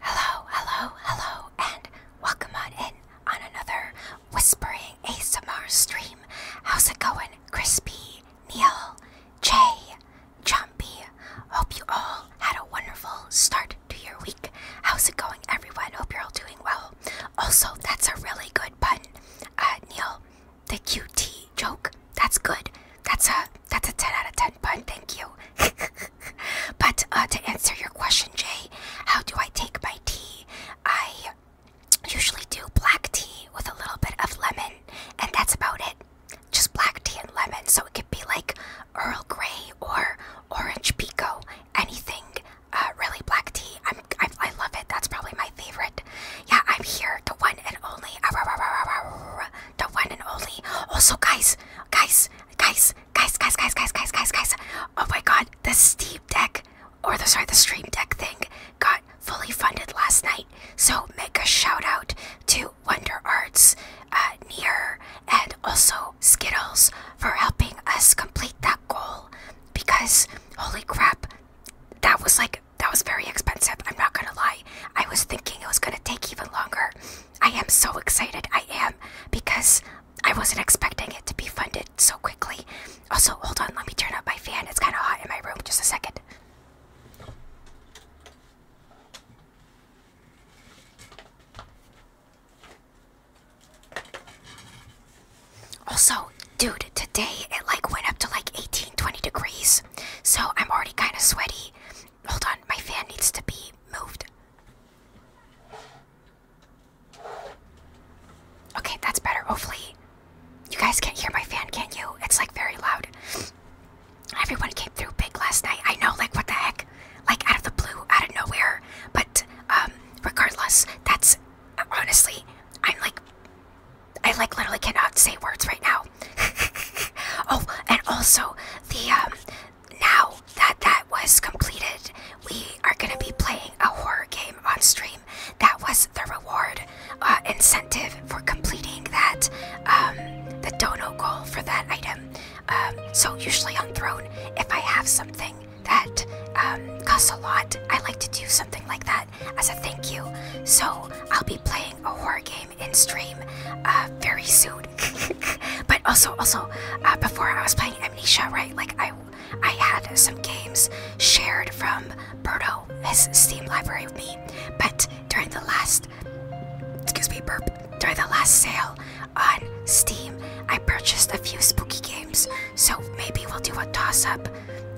Hello, hello, hello, and welcome on in on another Whispering ASMR stream. How's it going? Crispy, Neil, Jay, Chompy? Hope you all had a wonderful start to your week. How's it going, everyone? Hope you're all doing well. Also, that's a really good pun, uh, Neil. The QT joke. That's good. That's a that's a 10 out of 10 pun. Thank you. but uh, to answer your question, Jay, how do I take my tea? I usually do black tea with a little bit of lemon, and that's about it. Just black tea and lemon. So it could be like Earl Grey or Orange Pico, anything. Uh, really, black tea. I'm, I love it. That's probably my favorite. Yeah, I'm here, the one and only the one and only. Also, guys, guys, guys, guys, guys, guys, guys, guys, guys, Oh my God, the Steam Deck, or the sorry, the Stream Deck thing got fully funded last night. So make a shout out to Wonder Arts, uh, Near, and also Skittles for helping us complete that goal. Because holy crap, that was like that was very expensive. I'm not gonna lie. I was thinking it was gonna take even longer. I am so excited. I am because I wasn't expecting it to be funded so quickly. Also, hold on, let me turn up my fan. It's kind of hot in my room. Just a second. Also, dude, today it like went up to like 18, 20 degrees. So I'm already kind of sweaty. Hold on, my fan needs to be moved. Okay, that's better. Hopefully, you guys can't hear my fan, can you? It's like very loud. Everyone came through big last night. I know, like, what the heck? Like, out of the blue, out of nowhere. But, um, regardless, that's honestly, I'm like, I like literally cannot say words right now. oh, and also, the, um, now that that was completed, we are going to be playing a horror game on stream. That was the reward uh, incentive for completing that, um, the dono goal for that item. Um, so, usually on Throne, if I have something that um, costs a lot, I like to do something like that as a thank you. So, I'll be playing a horror game in stream uh, very soon. but also, also, uh, before I was playing Amnesia, right? Like I, I had some games shared from Birdo, his Steam library, with me. But during the last, excuse me, burp. During the last sale on Steam, I purchased a few spooky games. So maybe we'll do a toss-up.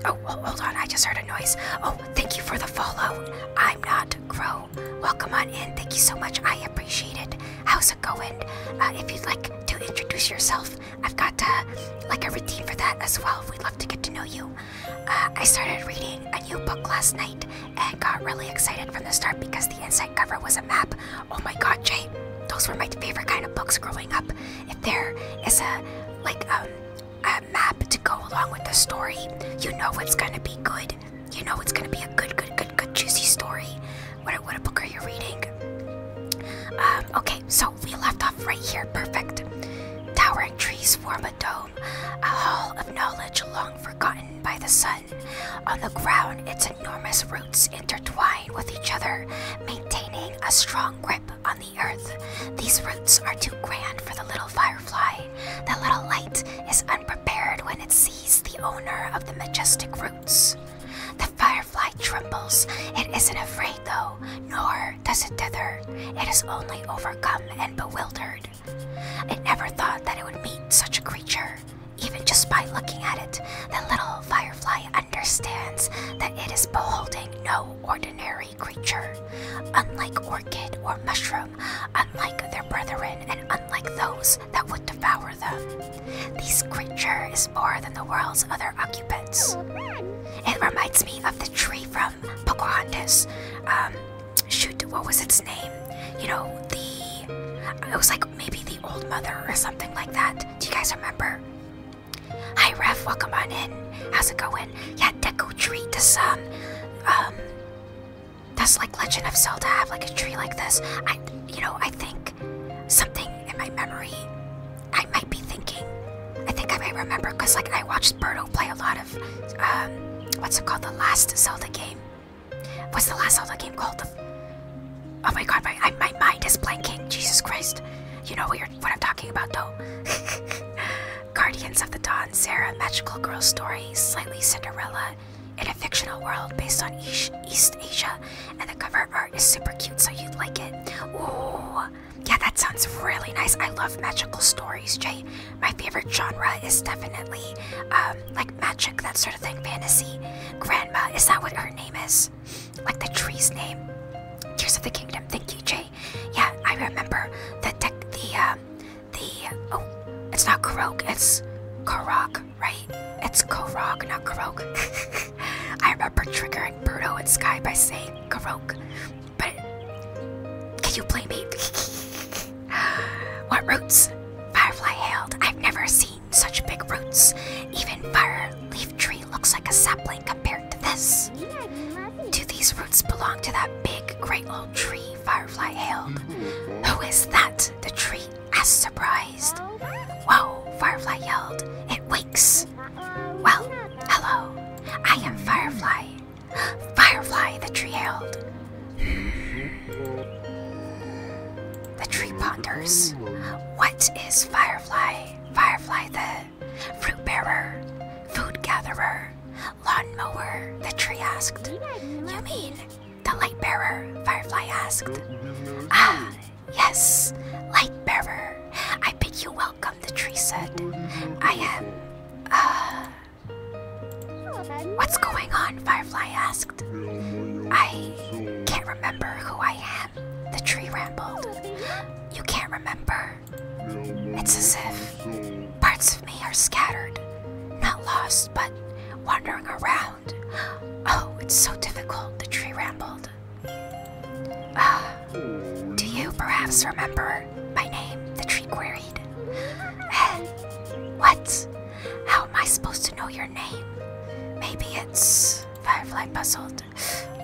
Oh, hold on! I just heard a noise. Oh, thank you for the follow. I'm not Crow. Welcome on in. Thank you so much. I appreciate it. How's it going? Uh, if you'd like to introduce yourself, I've got uh, like a routine for that as well. We'd love to get to know you. Uh, I started reading a new book last night and got really excited from the start because the inside cover was a map. Oh my god, Jay, those were my favorite kind of books growing up. If there is a like um, a map to go along with the story, you know it's gonna be good. You know it's gonna be a good, good, good, good, juicy story. What, a book are you reading? Um, okay, so we left off right here. Perfect. Towering trees form a dome, a hall of knowledge long forgotten by the sun. On the ground, its enormous roots intertwine with each other, maintaining a strong grip on the earth. These roots are too grand for the little firefly. The little light is unprepared when it sees the owner of the majestic root. The firefly trembles. It isn't afraid, though, nor does it dither. It is only overcome and bewildered. It never thought that it would meet such a creature. Even just by looking at it, the little firefly understands that it is beholding no ordinary creature. Unlike orchid or mushroom, unlike their brethren, and unlike those that would devour them. This creature is more than the world's other occupants. It reminds me of the tree from Pocahontas. Um, shoot, what was its name? You know, the. It was like maybe the old mother or something like that. Do you guys remember? Hi, Ref, welcome on in. How's it going? Yeah, Deku Tree does, um, um, does like Legend of Zelda have like a tree like this? I, you know, I think something in my memory. I might be thinking. I think I may remember because like I watched Birdo play a lot of um, what's it called? The last Zelda game. What's the last Zelda game called? oh my god, my my mind is blanking. Jesus Christ. You know what I'm talking about though. Guardians of the Dawn, Sarah, Magical Girl Story, Slightly Cinderella, in a fictional world based on East, Asia, and the cover art is super cute, so you'd like it. Ooh, yeah, that sounds really nice. I love magical stories, Jay. My favorite genre is definitely um, like magic, that sort of thing, fantasy. Grandma, is that what her name is? Like the tree's name. Tears of the Kingdom. Thank you, Jay. Yeah, I remember the the um, the oh, it's not Kurok, it's Korok right? It's Korok, not Korok. I remember triggering Birdo and Sky by saying Korok, but can you blame me? what roots? Firefly hailed. I've never seen such big roots. Even fire leaf tree looks like a sapling compared to this. Do these roots belong to that big, great old tree? Firefly hailed. Who is that? The tree asked, surprise. Whoa, Firefly yelled. It wakes. Well, hello. I am Firefly. Firefly, the tree yelled. The tree ponders. What is Firefly? Firefly, the fruit bearer, food gatherer, lawn mower, the tree asked. You mean the light bearer, Firefly asked. Ah, yes, light bearer. I bid you welcome, the tree said. I am. Uh. What's going on? Firefly asked. I can't remember who I am, the tree rambled. You can't remember. It's as if parts of me are scattered, not lost, but wandering around. Oh, it's so difficult, the tree rambled. Ah, do you perhaps remember my name? The tree queried. what? How am I supposed to know your name? Maybe it's. Firefly puzzled.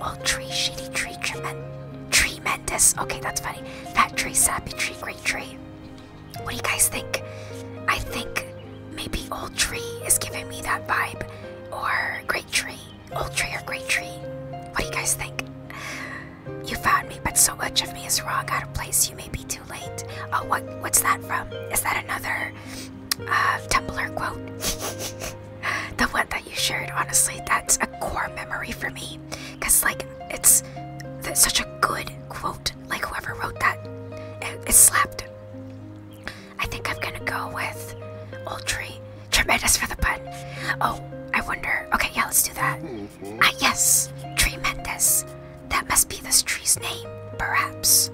Old tree, shitty tree, tremendous. Okay, that's funny. Fat tree, sappy tree, great tree. What do you guys think? I think Maybe Old Tree is giving me that vibe, or Great Tree. Old Tree or Great Tree. What do you guys think? You found me, but so much of me is wrong, out of place. You may be too late. Oh, what? What's that from? Is that another uh, quote? the one that you shared. Honestly, that's a core memory for me, cause like it's such a good quote. Like whoever wrote that, it slapped. I think I'm gonna go with Old Tree. Tremendous for the pun. Oh, I wonder. Okay, yeah, let's do that. Ah, yes, tremendous. That must be this tree's name, perhaps.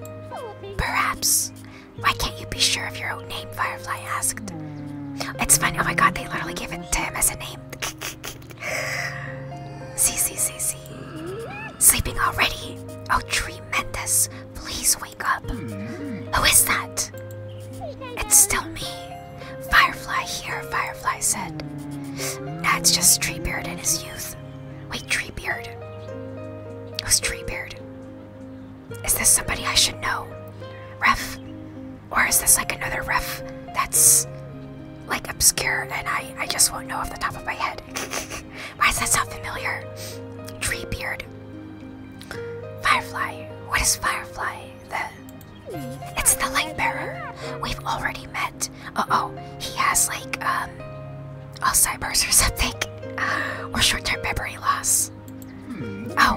Perhaps. Why can't you be sure of your own name? Firefly asked. It's funny. Oh my god, they literally gave it to him as a name. see, see, see, see. Sleeping already? Oh, tremendous. Please wake up. Hmm. Who is that? It's still me. Firefly here, Firefly said. That's just Treebeard in his youth. Wait, Treebeard? Who's Treebeard? Is this somebody I should know? Ref? Or is this like another ref that's like obscure and I, I just won't know off the top of my head? Why does that sound familiar? Tree beard. Firefly. What is Firefly? The It's the Lightbearer. We've already met. Uh oh. He has like um Alzheimer's or something. Or short-term memory loss. Hmm. Oh.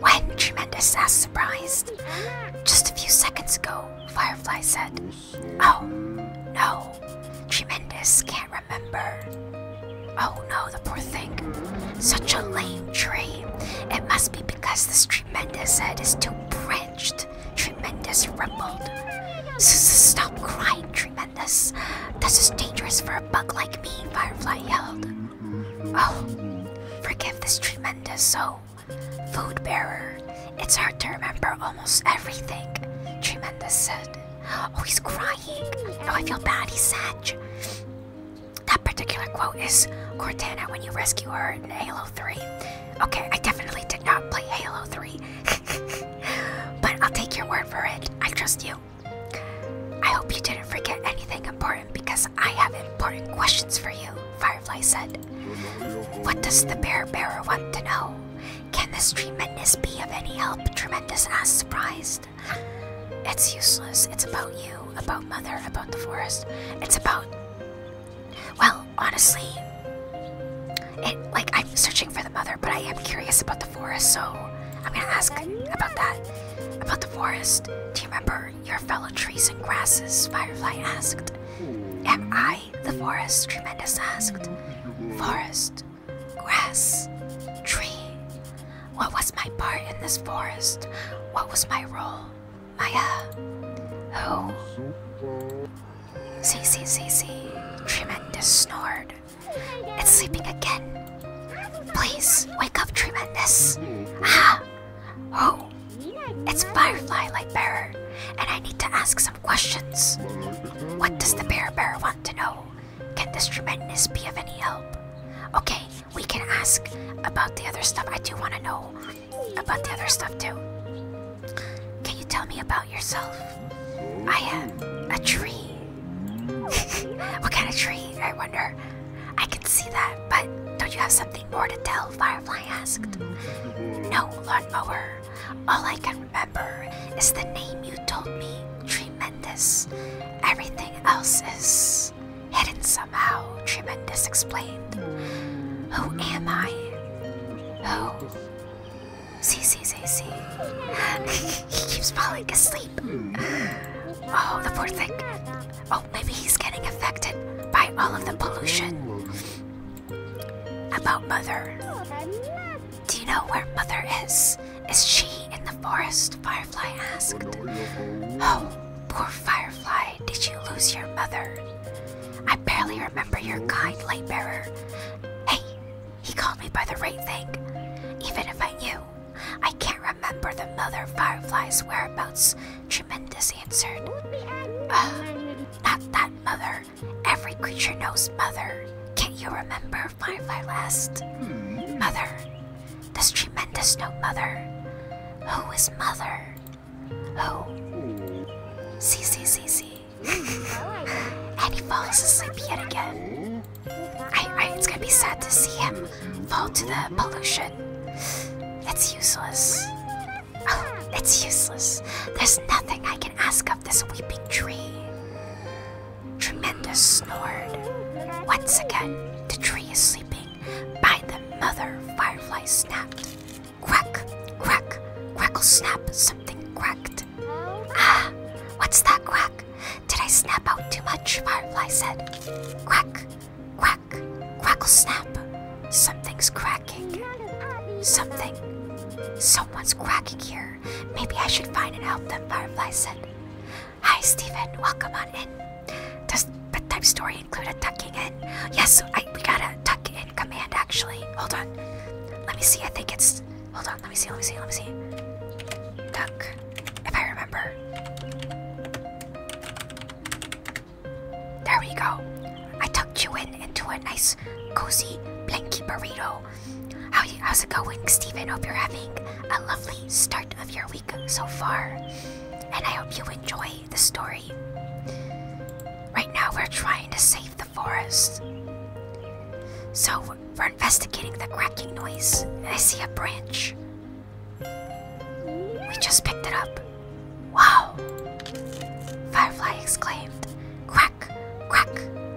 When? Tremendous ass surprised. Just a few seconds ago, Firefly said. Oh, no. Tremendous, can't remember. Oh no, the poor thing. Such a lame tree. It must be because this tremendous head is too branched. Tremendous rumbled. Stop crying, Tremendous. This is dangerous for a bug like me, Firefly yelled. Oh, forgive this Tremendous, So, oh, food bearer. It's hard to remember almost everything, Tremendous said. Oh, he's crying. No, oh, I feel bad. He's sad. That particular quote is Cortana when you rescue her in Halo 3. Okay, I definitely did not play Halo 3. but I'll take your word for it. I trust you. I hope you didn't forget anything important because I have important questions for you, Firefly said. What does the bear bearer want to know? Can this tremendous be of any help? Tremendous asked, surprised. It's useless. It's about you, about Mother, about the forest. It's about. Well, honestly, it like I'm searching for the Mother, but I am curious about the forest, so I'm gonna ask about that. About the forest. Do you remember your fellow trees and grasses? Firefly asked. Am I the forest? Tremendous asked. Forest grass, tree. What was my part in this forest? What was my role? Maya. Who? See, see, see, see. Tremendous snored. It's sleeping again. Please, wake up, Tremendous. Ah! Oh, it's Firefly Lightbearer, and I need to ask some questions. What does the Bear Bear want to know? Can this tremendous be of any help? Okay, we can ask about the other stuff. I do want to know about the other stuff too. Can you tell me about yourself? I am a tree. what kind of tree, I wonder? I can see that, but don't you have something more to tell? Firefly asked. No, lawnmower. All I can remember is the name you told me, Tree this Everything else is hidden somehow. Tremendous explained. Who am I? Who? See, see, see, see. he keeps falling asleep. Oh, the poor thing. Oh, maybe he's getting affected by all of the pollution. About Mother. Do you know where Mother is? Is she in the forest? Firefly asked. Oh, poor Firefly, did you lose your mother? I barely remember your kind, light bearer. Hey, he called me by the right thing. Even if I knew, I can't remember the mother Firefly's whereabouts. Tremendous answered. Uh, not that mother. Every creature knows mother. Can't you remember Firefly Last? Hmm. Mother. This tremendous note, Mother. Who is Mother? Who? See, see, see, see. And he falls asleep yet again. I, I, it's gonna be sad to see him fall to the pollution. It's useless. Oh, it's useless. There's nothing I can ask of this weeping tree. Tremendous snored. Once again, the tree is sleeping. By the mother, Firefly snapped. Quack, quack, crackle snap, something cracked. Ah, what's that quack? Did I snap out too much? Firefly said. Quack, quack, crackle snap. Something's cracking. Something. Someone's cracking here. Maybe I should find and help them, Firefly said. Hi, Stephen. Welcome on in. Does bedtime story include a tucking in? Yes, we got a tuck in command actually. Hold on. Let me see. I think it's. Hold on. Let me see. Let me see. Let me see. Tuck. If I remember. There we go. I tucked you in into a nice, cozy, blanky burrito how's it going, Steven? Hope you're having a lovely start of your week so far. And I hope you enjoy the story. Right now, we're trying to save the forest. So, we're investigating the cracking noise. I see a branch. We just picked it up. Wow! Firefly exclaimed. Crack, crack,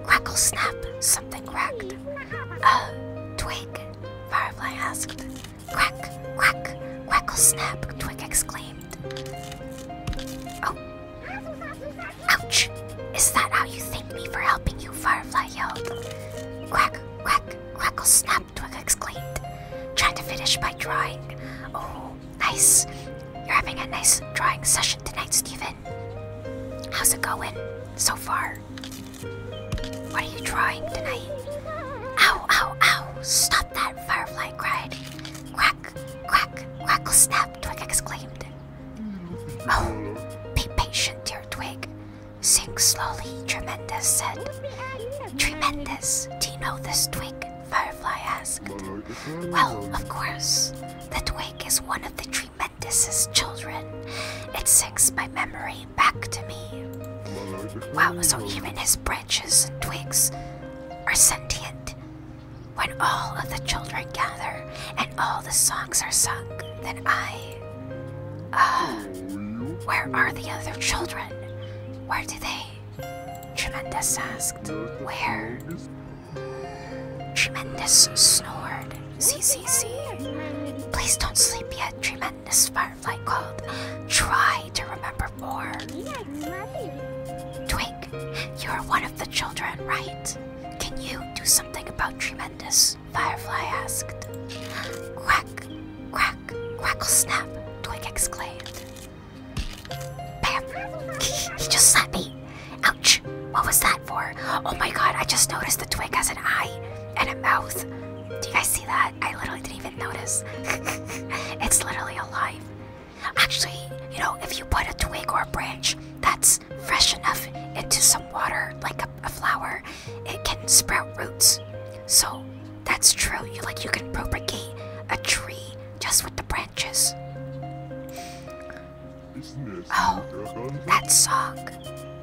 crackle, snap, Something cracked. Oh, Twig, Firefly asked. Crack, crack, crackle snap, Twig exclaimed. Oh. Ouch! Is that how you thank me for helping you? Firefly yelled. Crack, crack, crackle snap, Twig exclaimed. Trying to finish by drawing. Oh, nice. You're having a nice drawing session tonight, Stephen. How's it going so far? there? What are you drawing tonight? Ow, ow, ow! Stop that! Firefly cried. Quack, quack, quackle snap, Twig exclaimed. Oh, be patient, dear Twig. Sink slowly, Tremendous said. Tremendous, do you know this twig? Firefly asked. Well, of course. The twig is one of the Geoffrey children. It sinks my memory back to me. Wow, so even his branches and twigs are sentient. When all of the children gather and all the songs are sung, then I. Uh, where are the other children? Where do they? Tremendous asked. Where? Tremendous snored. C C C. Please don't sleep yet, tremendous firefly called. Try to remember more. Twink, you are one of the children, right? Can you do something about tremendous? Firefly asked. Quack, quack, quackle snap, Twink exclaimed. Bam! he just slapped me! What was that for? Oh my god, I just noticed the twig has an eye and a mouth. Do you guys see that? I literally didn't even notice. it's literally alive. Actually, you know, if you put a twig or a branch that's fresh enough into some water, like a, a flower, it can sprout roots. So that's true. You like you can propagate a tree just with the branches. Oh, that song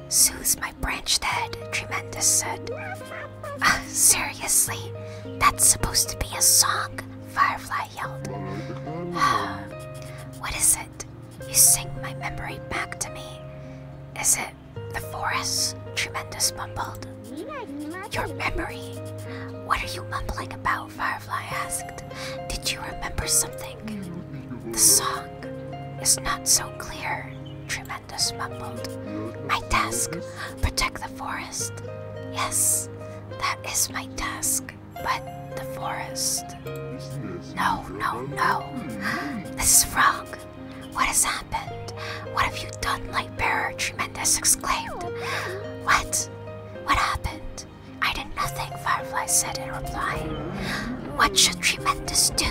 soothes my branched head, Tremendous said. Uh, seriously, that's supposed to be a song, Firefly yelled. Uh, what is it? You sing my memory back to me. Is it the forest? Tremendous mumbled. Your memory? What are you mumbling about? Firefly asked. Did you remember something? The song is not so clear, Tremendous mumbled. My task, protect the forest. Yes, that is my task, but the forest. No, no, no. This is wrong. What has happened? What have you done, Lightbearer? Tremendous exclaimed. What? What happened? I did nothing. Firefly said in reply. What should Tremendous do?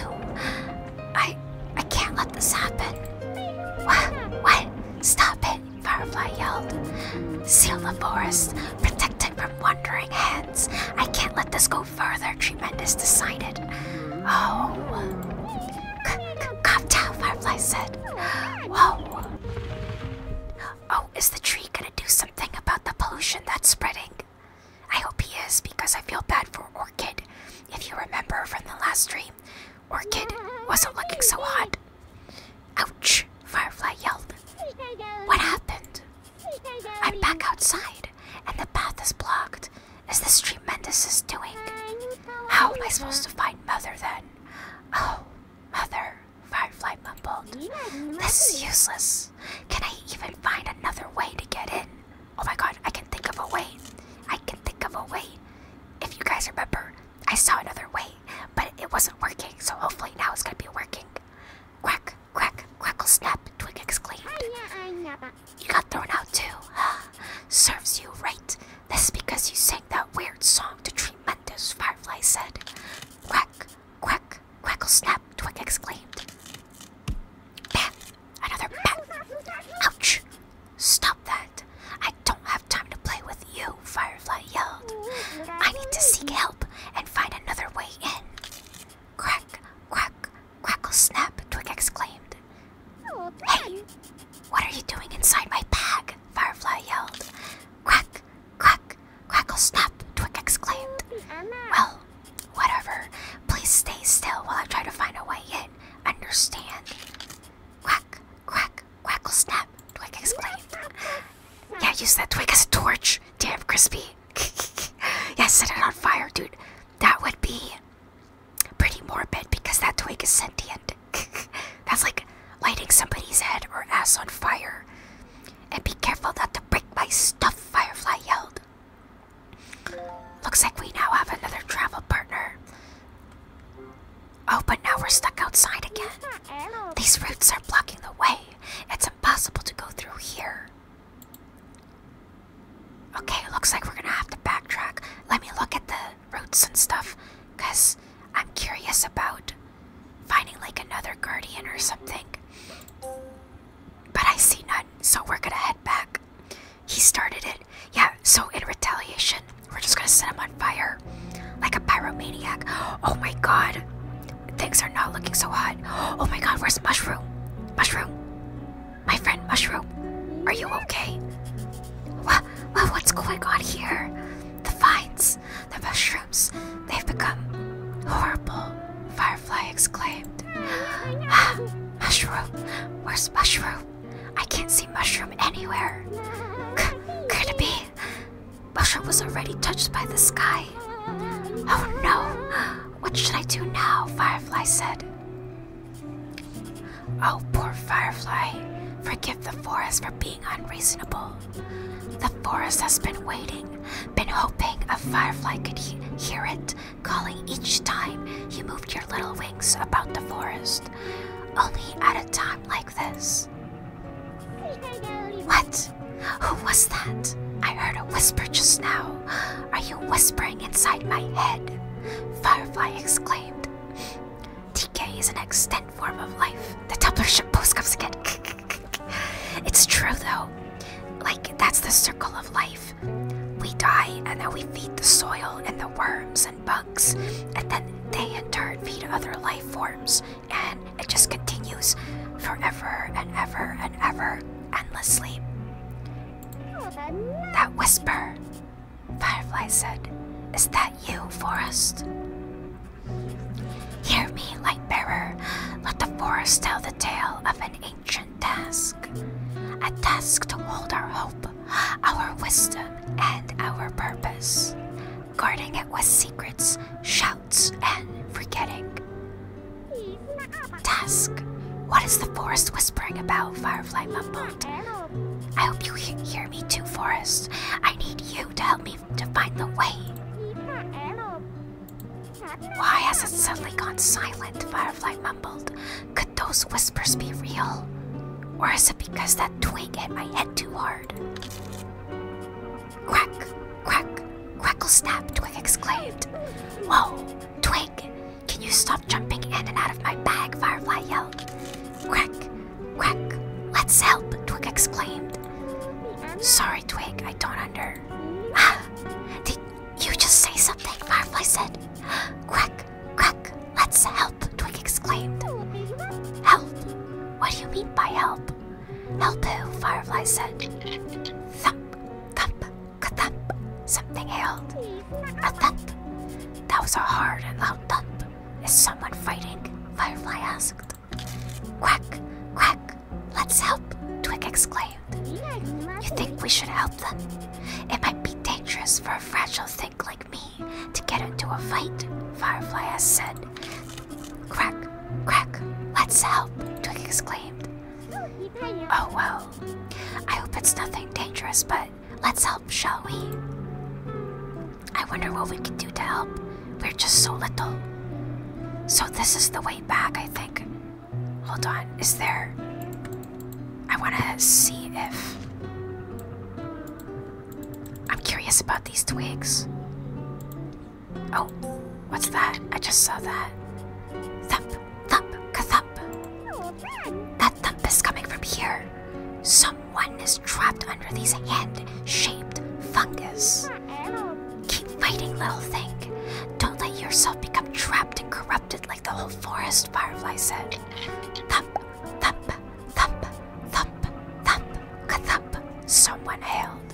I I can't let this happen. What? What? Stop it, Firefly yelled. Seal the forest, protect it from wandering hands. I can't let this go further, Tremendous decided. Oh. Calm Firefly said. Whoa. Oh, is the tree gonna do something about the pollution that's spreading? I hope he is because I feel bad for Orchid. If you remember from the last dream, Orchid wasn't looking so hot. Ouch! Firefly yelled. What happened? I'm back outside and the path is blocked. Is this tremendous? Is doing? How am I supposed to find Mother then? Oh, Mother, Firefly mumbled. This is useless. Can I even find another way to get in? Oh my god, I can think of a way. I can think of a way. If you guys remember, I saw another way, but it wasn't working, so hopefully now it's gonna be working. Crack, crack, crackle, snap, Twig exclaimed. Oh, you got thrown out too. Serves you right. This is because you sang that weird song to Tremendous, Firefly said. Crack, crack. Crackle snap, Twig exclaimed. Bat! Another bat! Ouch! Stop that! I don't have time to play with you, Firefly yelled. I need to seek help and find another way in. Crack, crack, crackle snap, Twig exclaimed. Hey! What are you doing inside my bag? Firefly yelled. Crack, crack, crackle snap, Twig exclaimed. Well, Whatever. Please stay still while I try to find a way in. Understand? Quack, quack, quackle snap, Twig exclaimed. yeah, use that twig as a torch. Damn crispy. yeah, set it on fire, dude. That would be pretty morbid because that twig is sentient. That's like lighting somebody's head or ass on fire. And be careful not to break my stuff, Firefly yelled. Looks like we now have another travel partner. Oh, but now we're stuck outside again. These roots are blocking the way. It's impossible to go through here. Okay, looks like we're gonna have to backtrack. Let me look at the roots and stuff, because I'm curious about finding like another guardian or something. But I see none, so we're gonna head back. He started it. Yeah, so in retaliation, we're just gonna set him on fire. Like a pyromaniac. Oh my god. Things are not looking so hot. Oh my god, where's Mushroom? Mushroom? My friend Mushroom, are you okay? What, what, what's going on here? The vines, the mushrooms, they've become horrible. Fire Firefly exclaimed. mushroom! Where's mushroom? I can't see mushroom anywhere. could it be? Mushroom was already touched by the sky. Oh no! What should I do now? Firefly said. Oh, poor Firefly. Forgive the forest for being unreasonable. The forest has been waiting, been hoping a firefly could hear it calling each time you moved your little wings about the forest, only at a time like this. What? Who was that? I heard a whisper just now. Are you whispering inside my head? Firefly exclaimed. TK is an extant form of life. The Doppler ship post comes again. it's true though. Like, that's the circle of life. We die and then we feed the soil and the worms and bugs, and then they in turn feed other life forms, and it just continues forever and ever and ever endlessly. That whisper, Firefly said, is that you, Forest? Hear me, Lightbearer. Let the forest tell the tale of an ancient task, a task to hold our hope, our wisdom, and our purpose, guarding it with secrets, shouts, and forgetting. Task, what is the forest whispering about, Firefly mumbled? I hope you he hear me too, Forest. I need you to help me to find the way. Why has it suddenly gone silent? Firefly mumbled. Could those whispers be real? Or is it because that twig hit my head too hard? Crack, crack, crackle snap, Twig exclaimed. Whoa, Twig, can you stop jumping in and out of my bag? Firefly yelled. Crack, crack! let's help, Twig exclaimed. Sorry, Twig, I don't understand. Ah, did, you just say something, Firefly said. Quack, quack. let's help, Twig exclaimed. Help? What do you mean by help? Help who? Firefly said. Thump, thump, thump, something hailed. A thump. That was a hard and loud thump. Is someone fighting? Firefly asked. Quack, quack, let's help, Twig exclaimed. You think we should help them? It might be dangerous for a fragile thing like me to get into a fight, Firefly has said. Crack, crack, let's help, Twig exclaimed. Oh well, I hope it's nothing dangerous, but let's help, shall we? I wonder what we can do to help. We're just so little. So this is the way back, I think, Hold on, is there. I want to see if. I'm curious about these twigs. Oh, what's that? I just saw that. Thump, thump, ka thump. That thump is coming from here. Someone is trapped under these hand shaped fungus. Keep fighting, little thing. Don't let yourself become trapped and corrupted like the whole forest, Firefly said. Thump, thump, thump, thump, thump, thump, someone hailed.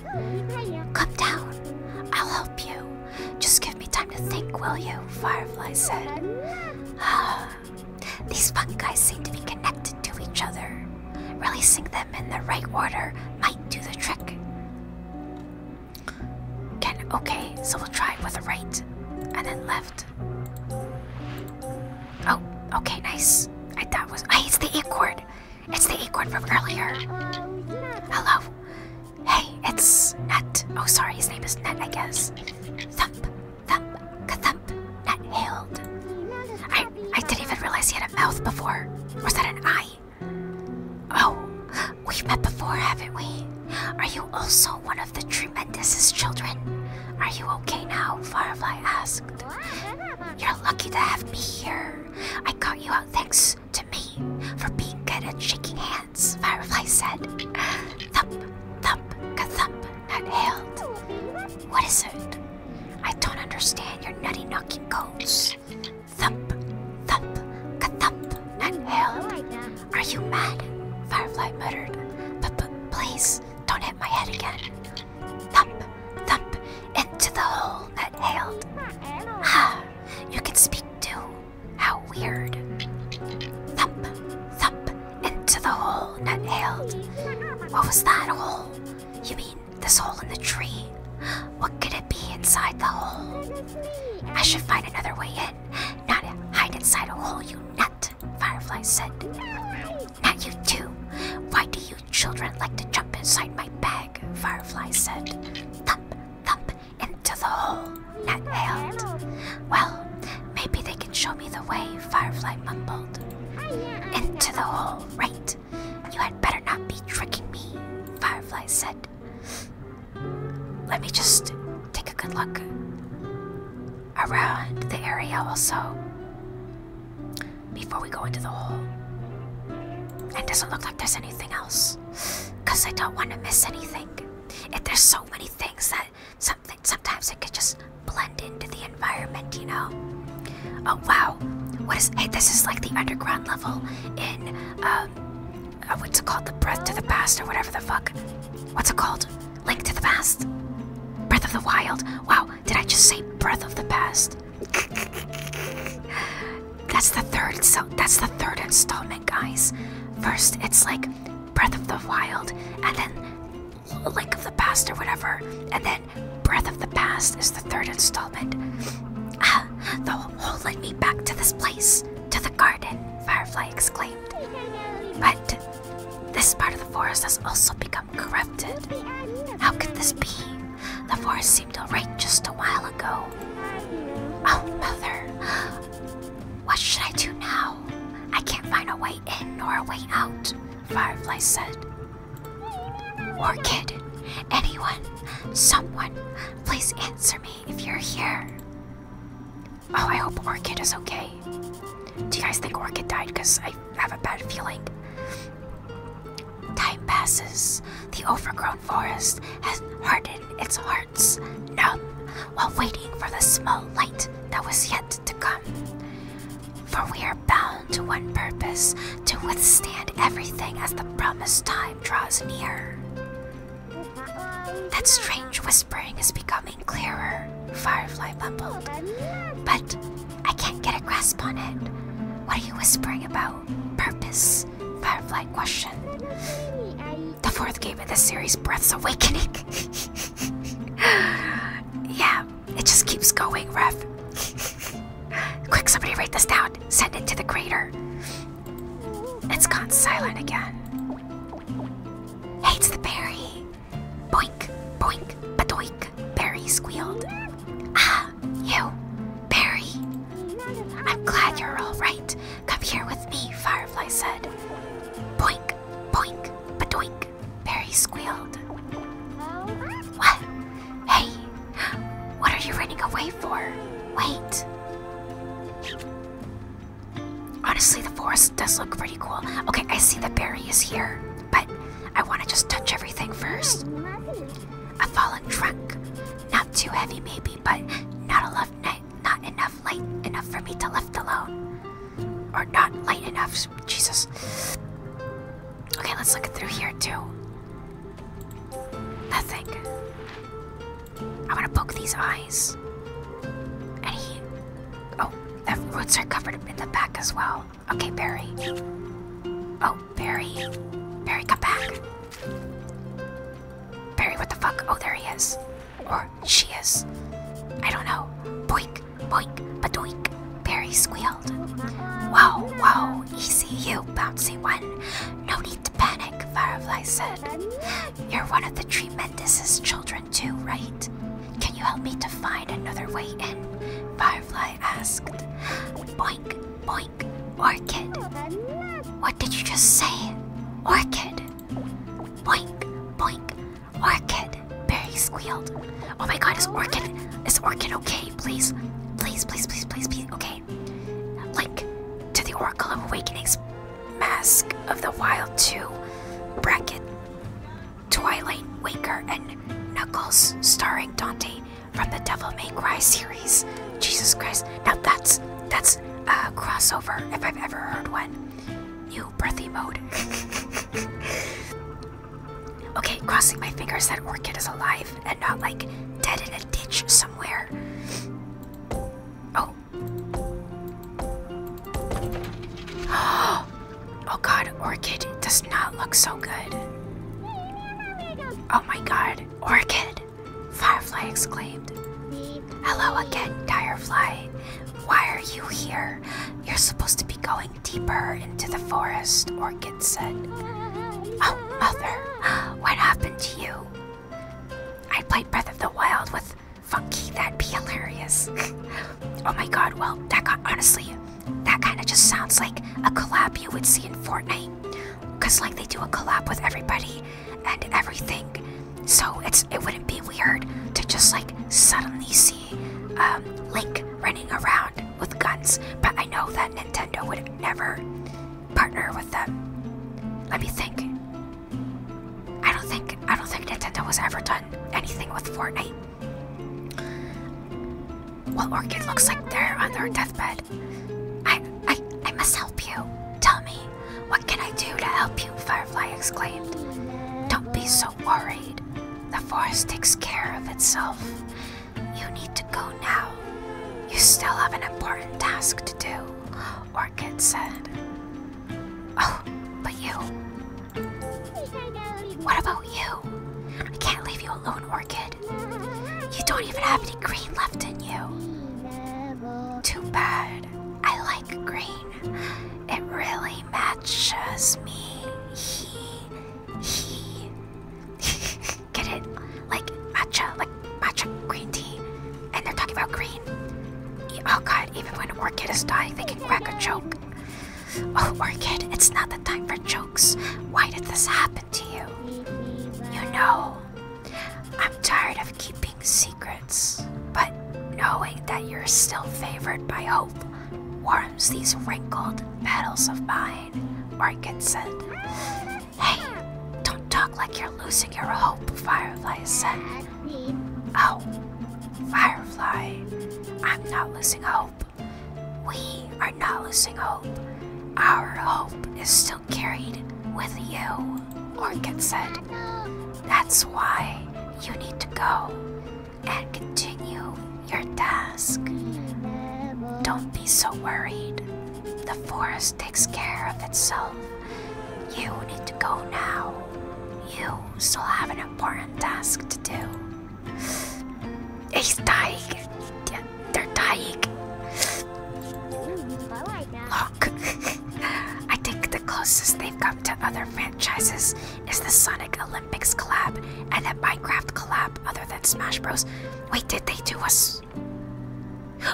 Come down, I'll help you. Just give me time to think, will you? Firefly said. Ah, these fungi seem to be connected to each other. Releasing them in the right order might do the trick okay, so we'll try with the right and then left. Oh, okay, nice. I thought it was hey, ah, it's the acorn. It's the acorn from earlier. Hello. Hey, it's Nut. Oh, sorry, his name is Nut, I guess. Thump, thump, thump, Nut hailed. I I didn't even realize he had a mouth before. Was that an eye? Oh, We've met before, haven't we? Are you also one of the tremendous children? Are you okay now? Firefly asked. You're lucky to have me here. I caught you out thanks to me for being good at shaking hands, Firefly said. Thump, thump, ka thump, nut hailed. What is it? I don't understand your nutty knocking codes. Thump, thump, ka thump, nut hailed. Are you mad? Firefly muttered. But, please, don't hit my head again. Thump, thump, into the hole that hailed. Ha! You can speak too. How weird. Thump, thump, into the hole that hailed. What was that hole? You mean this hole in the tree? What could it be inside the hole? I should find another way in. Not hide inside a hole, you nut, Firefly said. Not you too. Why do you children like to jump inside my bag? Firefly said. Thump, thump, into the hole, Nut held. Well, maybe they can show me the way, Firefly mumbled. Into the hole, right? You had better not be tricking me, Firefly said. Let me just take a good look around the area also before we go into the hole. It doesn't look like there's anything else because I don't want to miss anything. If there's so many things that something sometimes it could just blend into the environment, you know. Oh wow, what is? Hey, this is like the underground level in um, uh, what's it called? The Breath to the Past or whatever the fuck. What's it called? Link to the Past. Breath of the Wild. Wow, did I just say Breath of the Past? that's the third. So that's the third installment, guys. First, it's like Breath of the Wild, and then Link of the Past or whatever, and then Breath of the Past is the third installment. Ah, the whole led me back to this place, to the garden. Firefly exclaimed. But this part of the forest has also become corrupted. How could this be? The forest seemed alright just a while ago. Oh, Mother. What should I do now? I can't find a way in nor a way out, Firefly said. Orchid, anyone, someone, please answer me if you're here. Oh, I hope Orchid is okay. Do you guys think Orchid died? Because I have a bad feeling. Time passes. The overgrown forest has hardened its hearts, numb, while waiting for the small light that was yet to come. For we are bound to one purpose to withstand everything as the promised time draws near. That strange whispering is becoming clearer, Firefly bumbled. But I can't get a grasp on it. What are you whispering about? Purpose? Firefly question. The fourth game in the series, Breath's Awakening. yeah, it just keeps going, Rev. Quick, somebody write this down. Send it to the crater. It's gone silent again hates the berry. Boink, boink, badoink, berry squealed. Ah, you, berry. I'm glad you're all right. Come here with me, Firefly said. Boink, boink, badoink, berry squealed. What? Hey, what are you running away for? Wait. Honestly, the forest does look pretty cool. Okay, I see the berry is here, but I want to just touch everything first. A fallen trunk. Not too heavy, maybe, but not enough night, not enough light enough for me to lift alone. Or not light enough. Jesus. Okay, let's look through here too. Nothing. I want to poke these eyes. And he. Oh, the roots are covered in the back as well. Okay, Barry. Oh, Barry. Barry, come back. Barry, what the fuck? Oh, there he is. Or she is. I don't know. Boink, boink, badoink. Barry squealed. Whoa, whoa, easy you, bouncy one. No need to panic, Firefly said. You're one of the Tremendous's children too, right? Can you help me to find another way in? Firefly asked. Boink, boink, orchid. What did you just say? Orchid. Boink, boink, orchid. Barry squealed. Oh my god, is orchid is orchid okay? Please, please, please, please, please, please. Okay. Like to the Oracle of Awakenings. Mask of the Wild 2, Bracket, Twilight Waker, and Knuckles, starring Dante from the Devil May Cry series. Jesus Christ. Now that's that's a crossover if I've ever heard one. New breathy mode. okay, crossing my fingers that Orchid is alive and not like dead in a ditch somewhere. Oh, oh god, Orchid does not look so good. Oh my god, Orchid! Firefly exclaimed. Hello again, Firefly. Why are you here? You're supposed to be going deeper into the forest, Orchid said. Oh, Mother, what happened to you? I played Breath of the Wild with funky, that'd be hilarious. oh my god, well, that got, honestly, that kind of just sounds like a collab you would see in Fortnite. Because, like, they do a collab with everybody and everything. So it's it wouldn't be weird to just, like, suddenly see um, Link running around with guns. But I know that Nintendo would never partner with them. Let me think. I don't think I don't think Nintendo has ever done anything with Fortnite. Well, Orchid looks like they're on their deathbed. I I I must help you. Tell me, what can I do to help you? Firefly exclaimed. Don't be so worried. The forest takes care of itself. You need to go now. You still have an important task to do, or orchid said. Oh, but you. What about you? I can't leave you alone, orchid. You don't even have any green left in you. Too bad. I like green. It really matches me. He, he. Get it? Like matcha, like matcha green tea. And they're talking about green. Oh god, even when Orchid is dying, they can crack a joke. Oh, Orchid, it's not the time for jokes. Why did this happen to you? You know, I'm tired of keeping secrets, but knowing that you're still favored by hope warms these wrinkled petals of mine, Orchid said. Hey, don't talk like you're losing your hope, Firefly said. Oh, Firefly, I'm not losing hope. We are not losing hope. Our hope is still carried with you, Orchid said. That's why you need to go and continue your task. Don't be so worried. The forest takes care of itself. You need to go now. You still have an important task to do. He's dying. They're dying. Look, I think the closest they've come to other franchises is the Sonic Olympics collab and the Minecraft collab, other than Smash Bros. Wait, did they do us?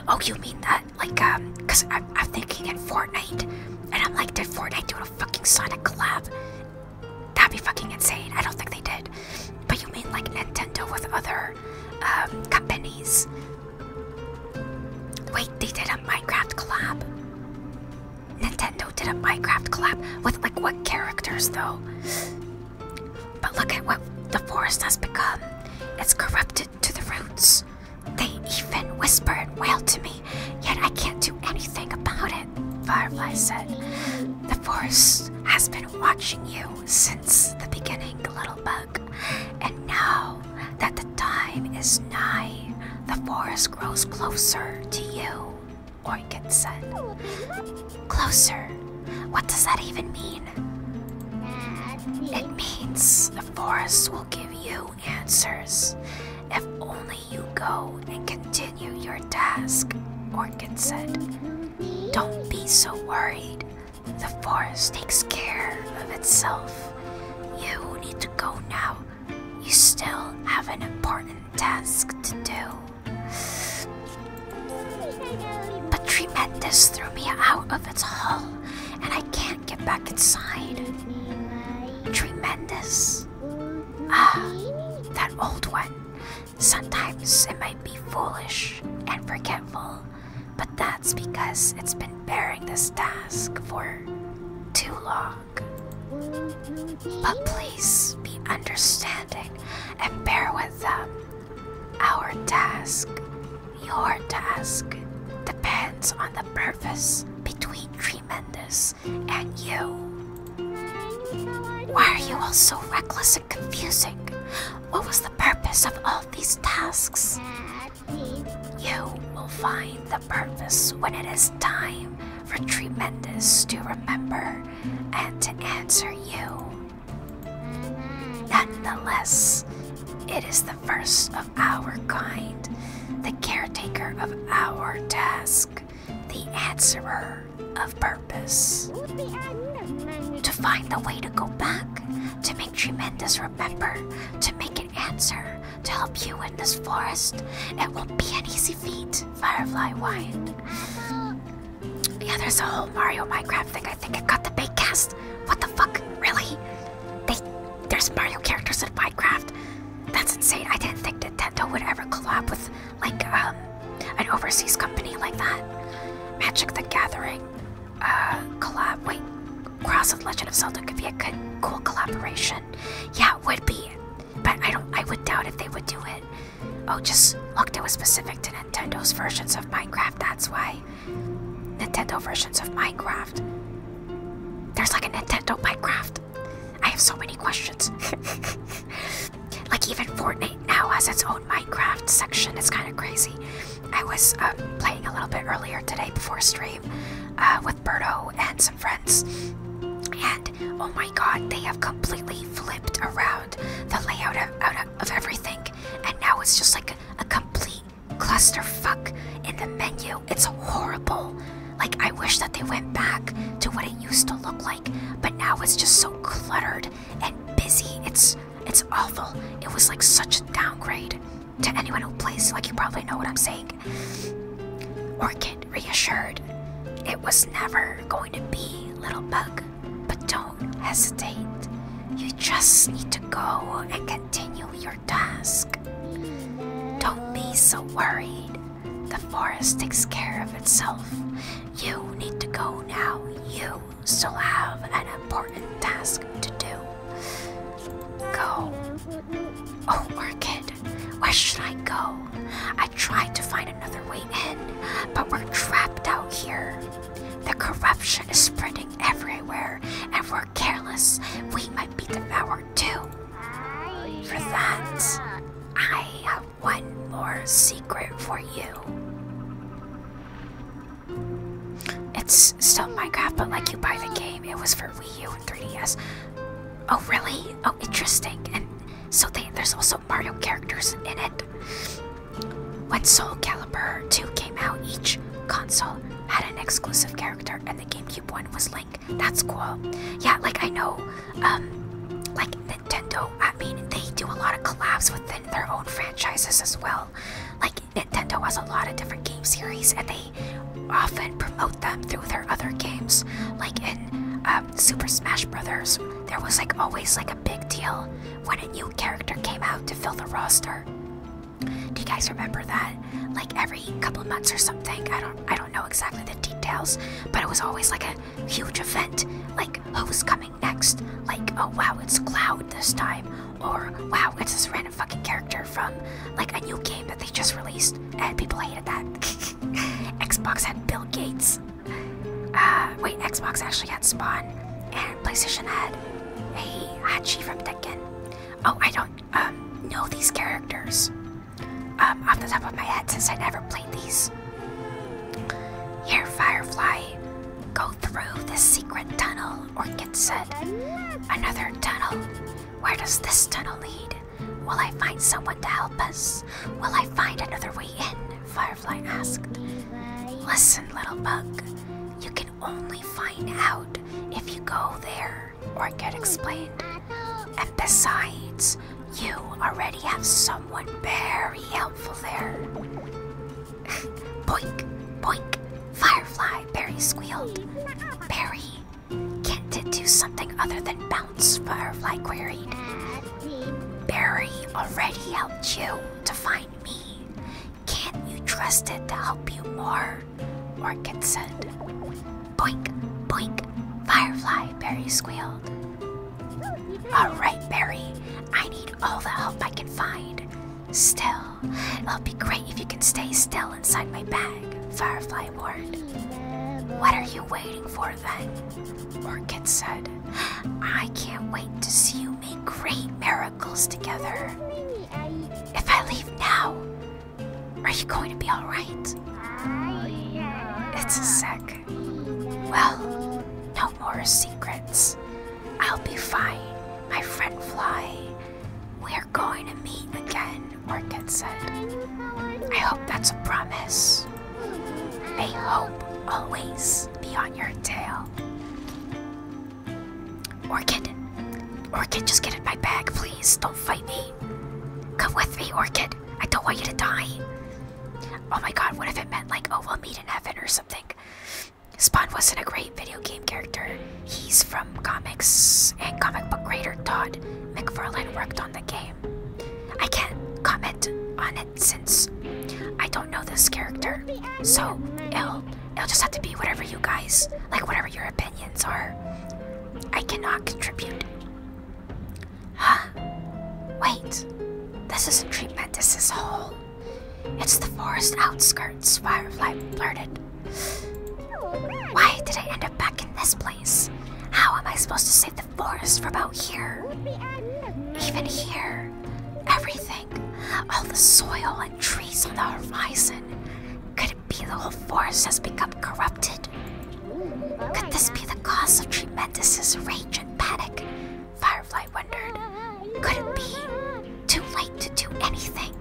Oh, you mean that? Like, um, because I'm, thinking in Fortnite, and I'm like, did Fortnite do a fucking Sonic collab. That'd be fucking insane. I don't think they did. But you mean like Nintendo with other um, companies? Wait, they did a Minecraft collab. Nintendo did a Minecraft collab with like what characters though? But look at what the forest has become. It's corrupted to the roots. They even whisper and wail to me, yet I can't do anything about it, Firefly said. The forest has been watching you since the beginning, little bug, and now that the time is nigh, the forest grows closer to you, Orchid said. Closer? What does that even mean? It means the forest will give you answers, if only you go and continue your task, Orkin said. Don't be so worried. The forest takes care of itself. You need to go now. You still have an important task to do. But Tremendous threw me out of its hull, and I can't get back inside. Tremendous Ah, that old one. Sometimes it might be foolish and forgetful, but that's because it's been bearing this task for too long. But please be understanding and bear with them. Our task, your task, depends on the purpose between tremendous, and you. Why are you all so reckless and confusing? What was the purpose of all these tasks? You will find the purpose when it is time for Tremendous to remember and to answer you. Nonetheless, it is the first of our kind, the caretaker of our task, the answerer of purpose. To find the way to go back, to make tremendous remember, to make an answer, to help you in this forest, it won't be an easy feat, Firefly whined. Yeah, there's a whole Mario Minecraft thing. I think I got the big cast. What the fuck? Really? They, there's Mario characters in Minecraft. That's insane. I didn't think Nintendo would ever collab with like um, an overseas company like that. Magic the Gathering uh, collab. Wait, Cross of Legend of Zelda could be a good, cool collaboration. Yeah, it would be. But I don't. I would doubt if they would do it. Oh, just looked. It was specific to Nintendo's versions of Minecraft. That's why Nintendo versions of Minecraft. There's like a Nintendo Minecraft. I have so many questions. like even Fortnite now has its own Minecraft section. It's kind of crazy. I was uh, playing a little bit earlier today before stream uh, with Berto and some friends, and oh my god, they have completely flipped around the layout of, of everything, and now it's just like a, a complete clusterfuck in the menu it's horrible. Like, I wish that they went back to what it used to look like, but now it's just so cluttered and busy. It's it's awful. It was like such a downgrade to anyone who plays. Like, you probably know what I'm saying. Orchid reassured, it was never going to be, little bug. But don't hesitate. You just need to go and continue your task. Don't be so worried. The forest takes care of itself. You need to go now. You still have an important task to do. Go. Oh, Orchid, where should I go? I tried to find another way in, but we're trapped out here. The corruption is spreading everywhere, and we're careless, we might be devoured too. For that, I have one more secret for you. It's still Minecraft, but like you buy the game. It was for Wii U and 3DS. Oh, really? Oh, interesting. And so there's also Mario characters in it. When Soul Calibur 2 came out, each console had an exclusive character, and the GameCube one was like. That's cool. Yeah, like I know, um, like Nintendo. I mean, they do a lot of collabs within their own franchises as well. Like Nintendo has a lot of different game series, and they often promote them through their other games. Like in um, Super Smash Brothers, there was like always like a big deal when a new character came out to fill the roster. Do you guys remember that? Like every couple months or something. I don't. I don't. I don't know exactly the details, but it was always like a huge event. Like, who's coming next? Like, oh wow, it's Cloud this time. Or, wow, it's this random fucking character from like a new game that they just released. And people hated that. Xbox had Bill Gates. Uh, wait, Xbox actually had Spawn. And PlayStation had a Hachi from Tekken. Oh, I don't um, know these characters. Um, off the top of my head since I never played these. Here, Firefly, go through this secret tunnel or get set. another tunnel. Where does this tunnel lead? Will I find someone to help us? Will I find another way in? Firefly asked. Listen, little bug, you can only find out if you go there or get explained. And besides, you already have someone very helpful there. Poink, poink! Firefly, Barry squealed. Barry, can't it do something other than bounce? Firefly queried. Barry already helped you to find me. Can't you trust it to help you more? Orchid said. Boink, boink, Firefly, Berry squealed. Alright, Berry, I need all the help I can find. Still, it'll be great if you can stay still inside my bag, Firefly warned. What are you waiting for then? Orchid said. I can't wait to see you make great miracles together. If I leave now, are you going to be alright? It's a sick. Well, no more secrets. I'll be fine, my friend Fly. We're going to meet again, Orchid said. I hope that's a promise. May hope always be on your tail. Orchid, Orchid, just get in my bag, please. Don't fight me. Come with me, Orchid. I don't want you to die. Oh my god, what if it meant like, oh, we'll meet in heaven or something? Spawn wasn't a great video game character. He's from comics, and comic book creator Todd McFarlane worked on the game. I can't comment on it since I don't know this character. So it'll, it'll just have to be whatever you guys, like whatever your opinions are. I cannot contribute. Huh? Wait. This isn't treatment, this is whole. It's the forest outskirts, Firefly blurted. Why did I end up back in this place? How am I supposed to save the forest from out here? Even here, everything, all the soil and trees on the horizon. Could it be the whole forest has become corrupted? Could this be the cause of Tremendous's rage and panic? Firefly wondered. Could it be too late to do anything?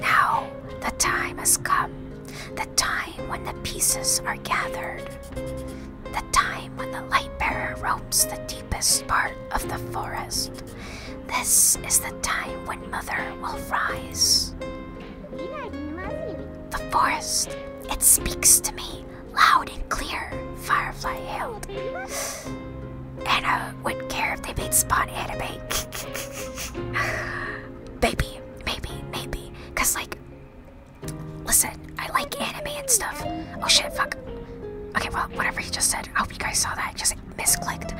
Now the time has come. The time when the pieces are gathered. The time when the light bearer roams the deepest part of the forest. This is the time when Mother will rise. The forest, it speaks to me loud and clear, Firefly yelled. Anna wouldn't care if they made Spot anime. maybe, maybe, maybe. Cause like, listen, I like anime and stuff. Oh shit, fuck. Okay, well, whatever he just said, I hope you guys saw that. Just misclicked.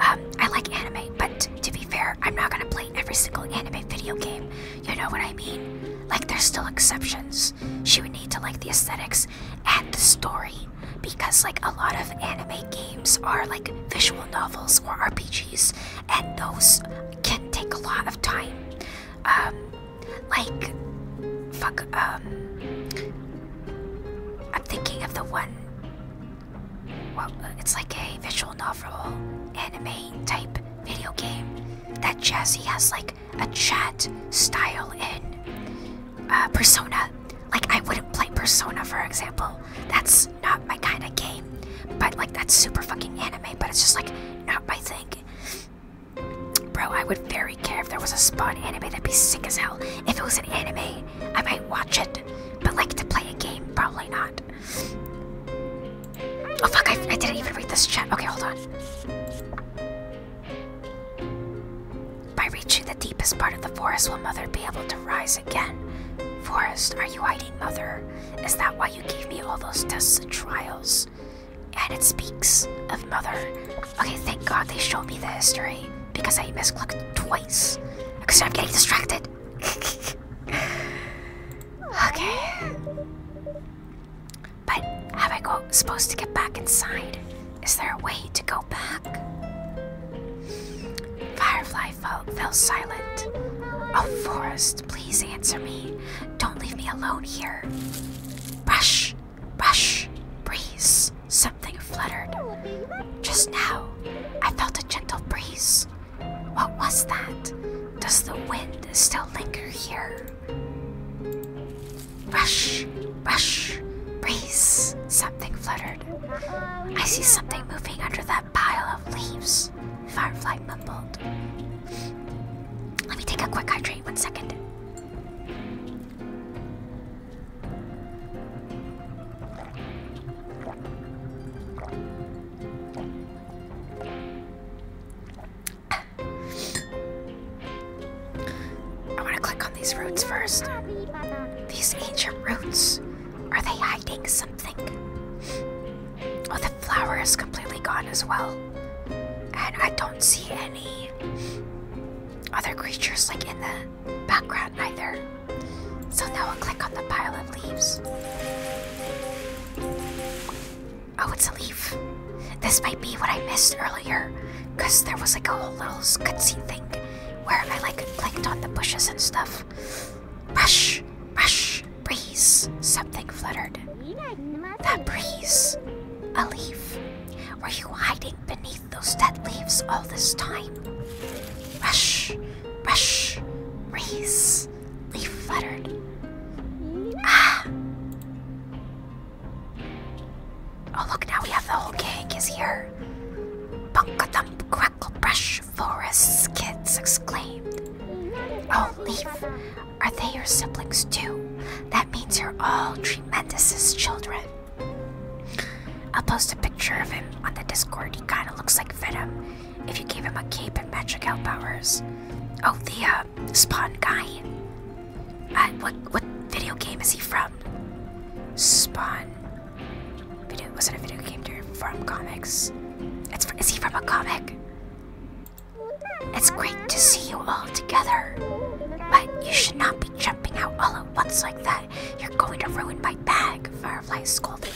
Um, I like anime, but to be fair, I'm not gonna play every single anime video game. You know what I mean? Like, there's still exceptions. She would need to like the aesthetics and the story because, like, a lot of anime games are like visual novels or RPGs, and those can take a lot of time. Um, like, fuck, um, I'm thinking of the one well, uh, it's like a visual novel anime type video game that Jesse has like a chat style in uh, Persona. Like I wouldn't play Persona for example. That's not my kind of game. But like that's super fucking anime, but it's just like not my thing. Bro, I would very care if there was a Spawn anime. That'd be sick as hell. If it was an anime, I might watch it. But like to play a game, probably not. Oh fuck, I, didn't even read this chat. Okay, hold on. By reaching the deepest part of the forest, will Mother be able to rise again? Forest, are you hiding, Mother? Is that why you gave me all those tests and trials? And it speaks of Mother. Okay, thank God they showed me the history because I misclicked twice because I'm getting distracted. Okay. But have I go supposed to get back inside? Is there a way to go back? Firefly fell, silent. Oh, Forest, please answer me. Don't leave me alone here. Brush, brush, breeze. Something fluttered. Just now, I felt a gentle breeze. What was that? Does the wind still linger here? Rush, rush, breeze, something fluttered. I see something moving under that pile of leaves, Firefly mumbled. Let me take a quick hydrate, one second. I want to click on these roots first. These ancient roots. Are they hiding something? Oh, the flower is completely gone as well. And I don't see any other creatures like in the background either. So now I'll click on the pile of leaves. Oh, it's a leaf. This might be what I missed earlier, because there was like a whole little cutscene thing where I like clicked on the bushes and stuff. Rush, rush, breeze. Something fluttered. That breeze. A leaf. Were you hiding beneath those dead leaves all this time? Rush, rush, breeze. Leaf fluttered. Ah! Oh, look, now we have the whole gang is here. Bunkadump, crackle, brush, forests, kids exclaimed. Oh, Leaf, are they your siblings too? That means you're all Tremendous's children. I'll post a picture of him on the Discord. He kind of looks like Venom if you gave him a cape and magical powers. Oh, the uh, Spawn guy. Uh, what what video game is he from? Spawn. Video was it a video game or from comics? It's is he from a comic? It's great to see you all together, but you should not be jumping out all at once like that. You're going to ruin my bag. Firefly scolded.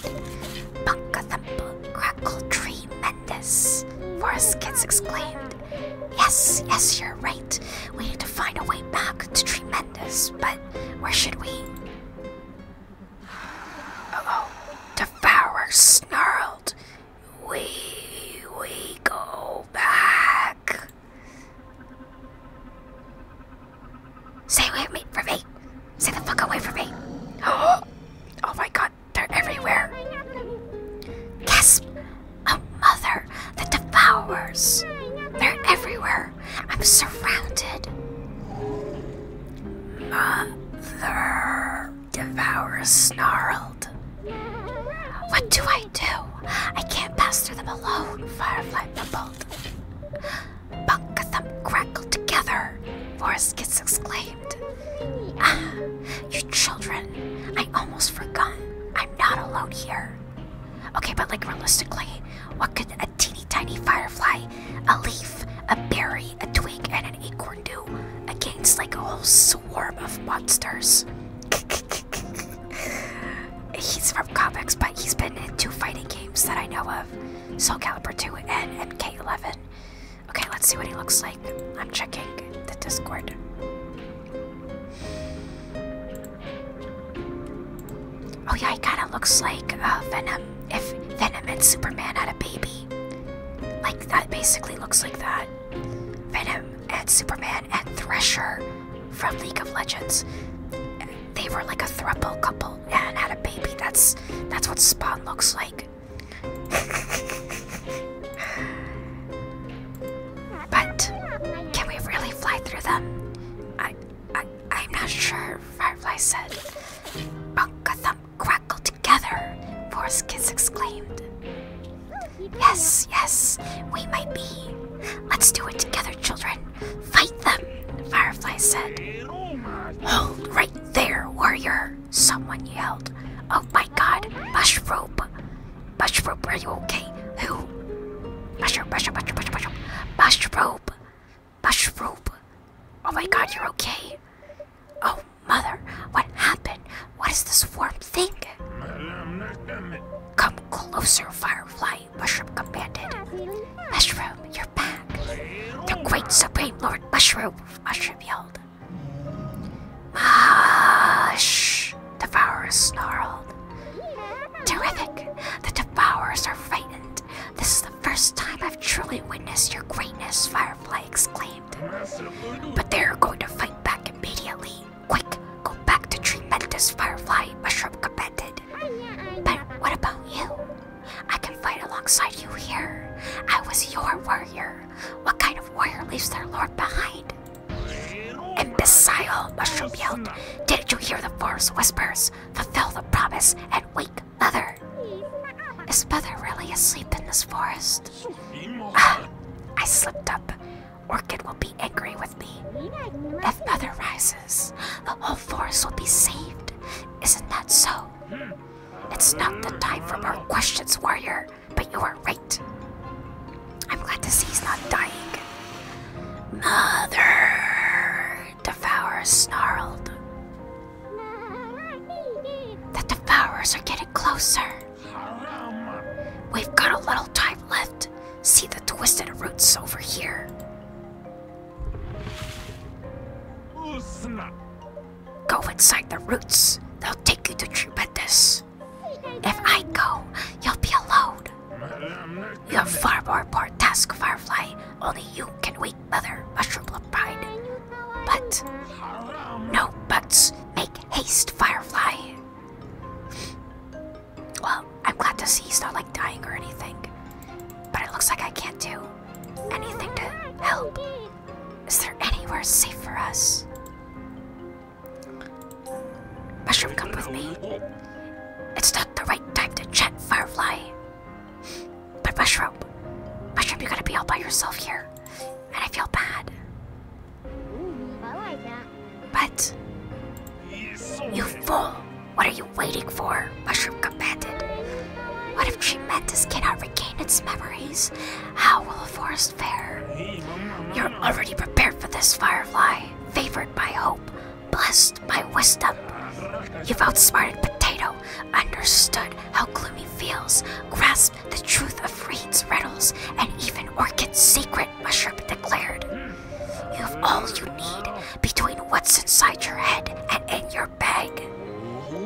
Bunka thumble, crackle tree tremendous, Forest Kids exclaimed. Yes, yes, you're right. We need to find a way back to Tremendous, but where should we? oh. Devourer snarled. We, we go back. Stay away from me, from me. Stay the fuck away from me. Oh, oh my god they're everywhere. Gasp! Oh, mother, that devours. They're everywhere. I'm surrounded. Mother, devourer snarled. What do I do? I can't pass through them alone, Firefly mumbled. Bunk them crackle together, Forest Kiss exclaimed. Ah, you children. I almost forgot. I'm not alone here. Okay, but like realistically, what could a teeny tiny firefly, a leaf, a berry, a twig, and an acorn do against like a whole swarm of monsters? he's from comics, but he's been in two fighting games that I know of Soul Calibur 2 and MK11. Okay, let's see what he looks like. I'm checking the Discord. Oh yeah, he kind of looks like uh, Venom. If Venom and Superman had a baby, like that basically looks like that. Venom and Superman and Thresher from League of Legends. They were like a thruple couple and had a baby. That's that's what Spawn looks like. but can we really fly through them? I, I, I'm not sure. Firefly said. Bunka thump crackled together. Force kids exclaimed. Yes, yes, we might be. Let's do it together, children. Fight them, Firefly said. Hold right there, warrior, Someone yelled. Oh my god, Mushroom! Mushroom, are you okay? Who? Mushroom, mushroom, mushroom, mushroom, mushroom! Mushroom! Oh my god, you're okay? Oh, mother, what happened? What is this warm thing? Come closer, Firefly, Mushroom commanded. Mushroom, you're back. The great supreme lord Mushroom, Mushroom yelled. Ah, Devourer snarled. Terrific! The Devourers are frightened. This is the first time I've truly witnessed your greatness, Firefly exclaimed. But they're going to fight back immediately. Quick, go back to Tremendous Firefly, Mushroom commended. But what about you? I can fight alongside you here. I was your warrior. What kind of warrior leaves their lord behind? Imbecile, Mushroom yelled. Didn't you hear the forest whispers? Fulfill the promise and wake mother. Is mother really asleep in this forest? Ah, I slipped up. Orchid will be angry with me. If mother rises, the whole forest will be saved. Isn't that so? It's not the time for more questions, warrior, but you are right. I'm glad to see he's not dying. Mother! Devourer snarled. The devourers are getting closer. We've got a little time left. See the twisted roots over here. Go inside the roots. They'll take you to Trubendus. If I go, you'll be alone. You are far more important task, Firefly. Only you can wake Mother Mushroom Pride. But, no buts. Make haste, Firefly. Well, I'm glad to see he's not like dying or anything. But it looks like I can't do anything to help. Is there anywhere safe for us? Mushroom, come with me. It's not the right time to chat, Firefly. But Mushroom, Mushroom, you going to be all by yourself here. And I feel bad. But, you fool! What are you waiting for, Mushroom Companion? What if tremendous cannot regain its memories? How will the forest fare? You're already prepared for this, Firefly, favored by hope, blessed by wisdom. You've outsmarted Potato, understood how Gloomy feels, grasped the truth of Reed's riddles, and even Orchid's secret, Mushroom declared. You have all you need between what's inside your head and in your bag.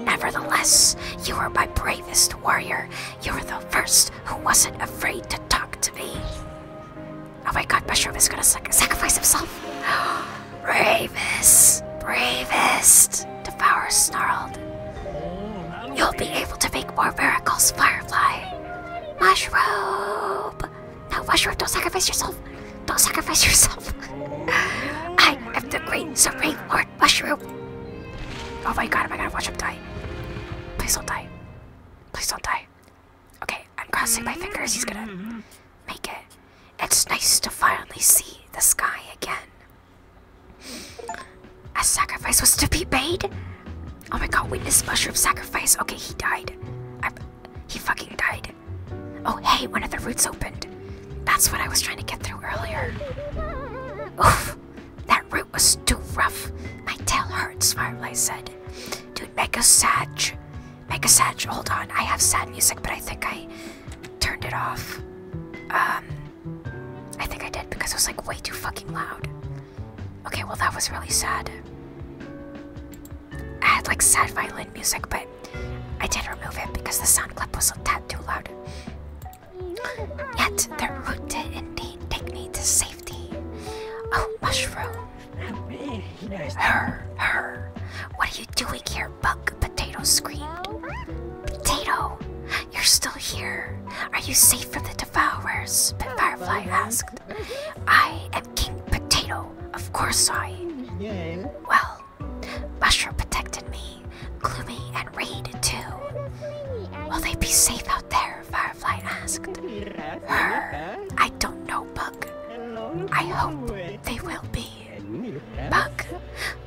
Nevertheless, you are my bravest warrior. You're the first who wasn't afraid to talk to me. Oh my god, Mushroom is gonna sacrifice himself. bravest, bravest, Devourer snarled. You'll be able to make more miracles, Firefly. Mushroom! No, Mushroom, don't sacrifice yourself. Don't sacrifice yourself. I am the great supreme lord Mushroom. Oh my god, Am I gonna watch him die. Please don't die. Please don't die. Okay, I'm crossing my fingers. He's gonna make it. It's nice to finally see the sky again. A sacrifice was to be made? Oh my god, witness mushroom sacrifice. Okay, he died. he fucking died. Oh hey, one of the roots opened. That's what I was trying to get through earlier. That route was too rough. My tail hurts, Firelight said. Dude, make a satch. Make a satch. Hold on. I have sad music, but I think I turned it off. Um, I think I did because it was like way too fucking loud. Okay, well, that was really sad. I had like sad violin music, but I did remove it because the sound clip was a tad too loud. Yet they're rooted indeed take me to safety. Oh, mushroom. Her, her. What are you doing here, Buck? Potato screamed. Potato, you're still here. Are you safe from the devourers? Firefly asked. I am King Potato. Of course I. Well, Mushroom protected me gloomy, and Reed too. Will they be safe out there? Firefly asked. Her, I don't know, Bug. I hope they will be. Bug,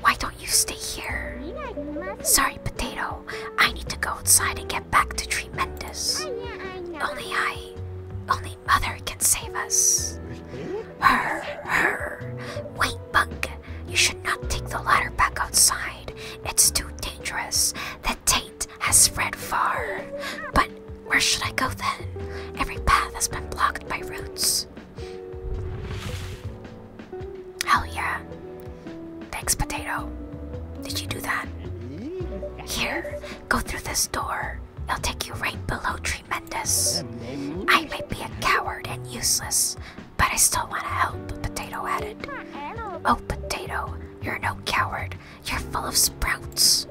why don't you stay here? Sorry, Potato. I need to go outside and get back to Tremendous. Only I, only Mother can save us. Her, her. Wait, Bug. You should not take the ladder back outside. It's too dangerous. The taint has spread far. But where should I go then? Every path has been blocked by roots. Hell yeah. Thanks, Potato. Did you do that? Here, go through this door. i will take you right below Tremendous. I may be a coward and useless, but I still want to help, Potato added. Oh, Potato, you're no coward. You're full of sprouts.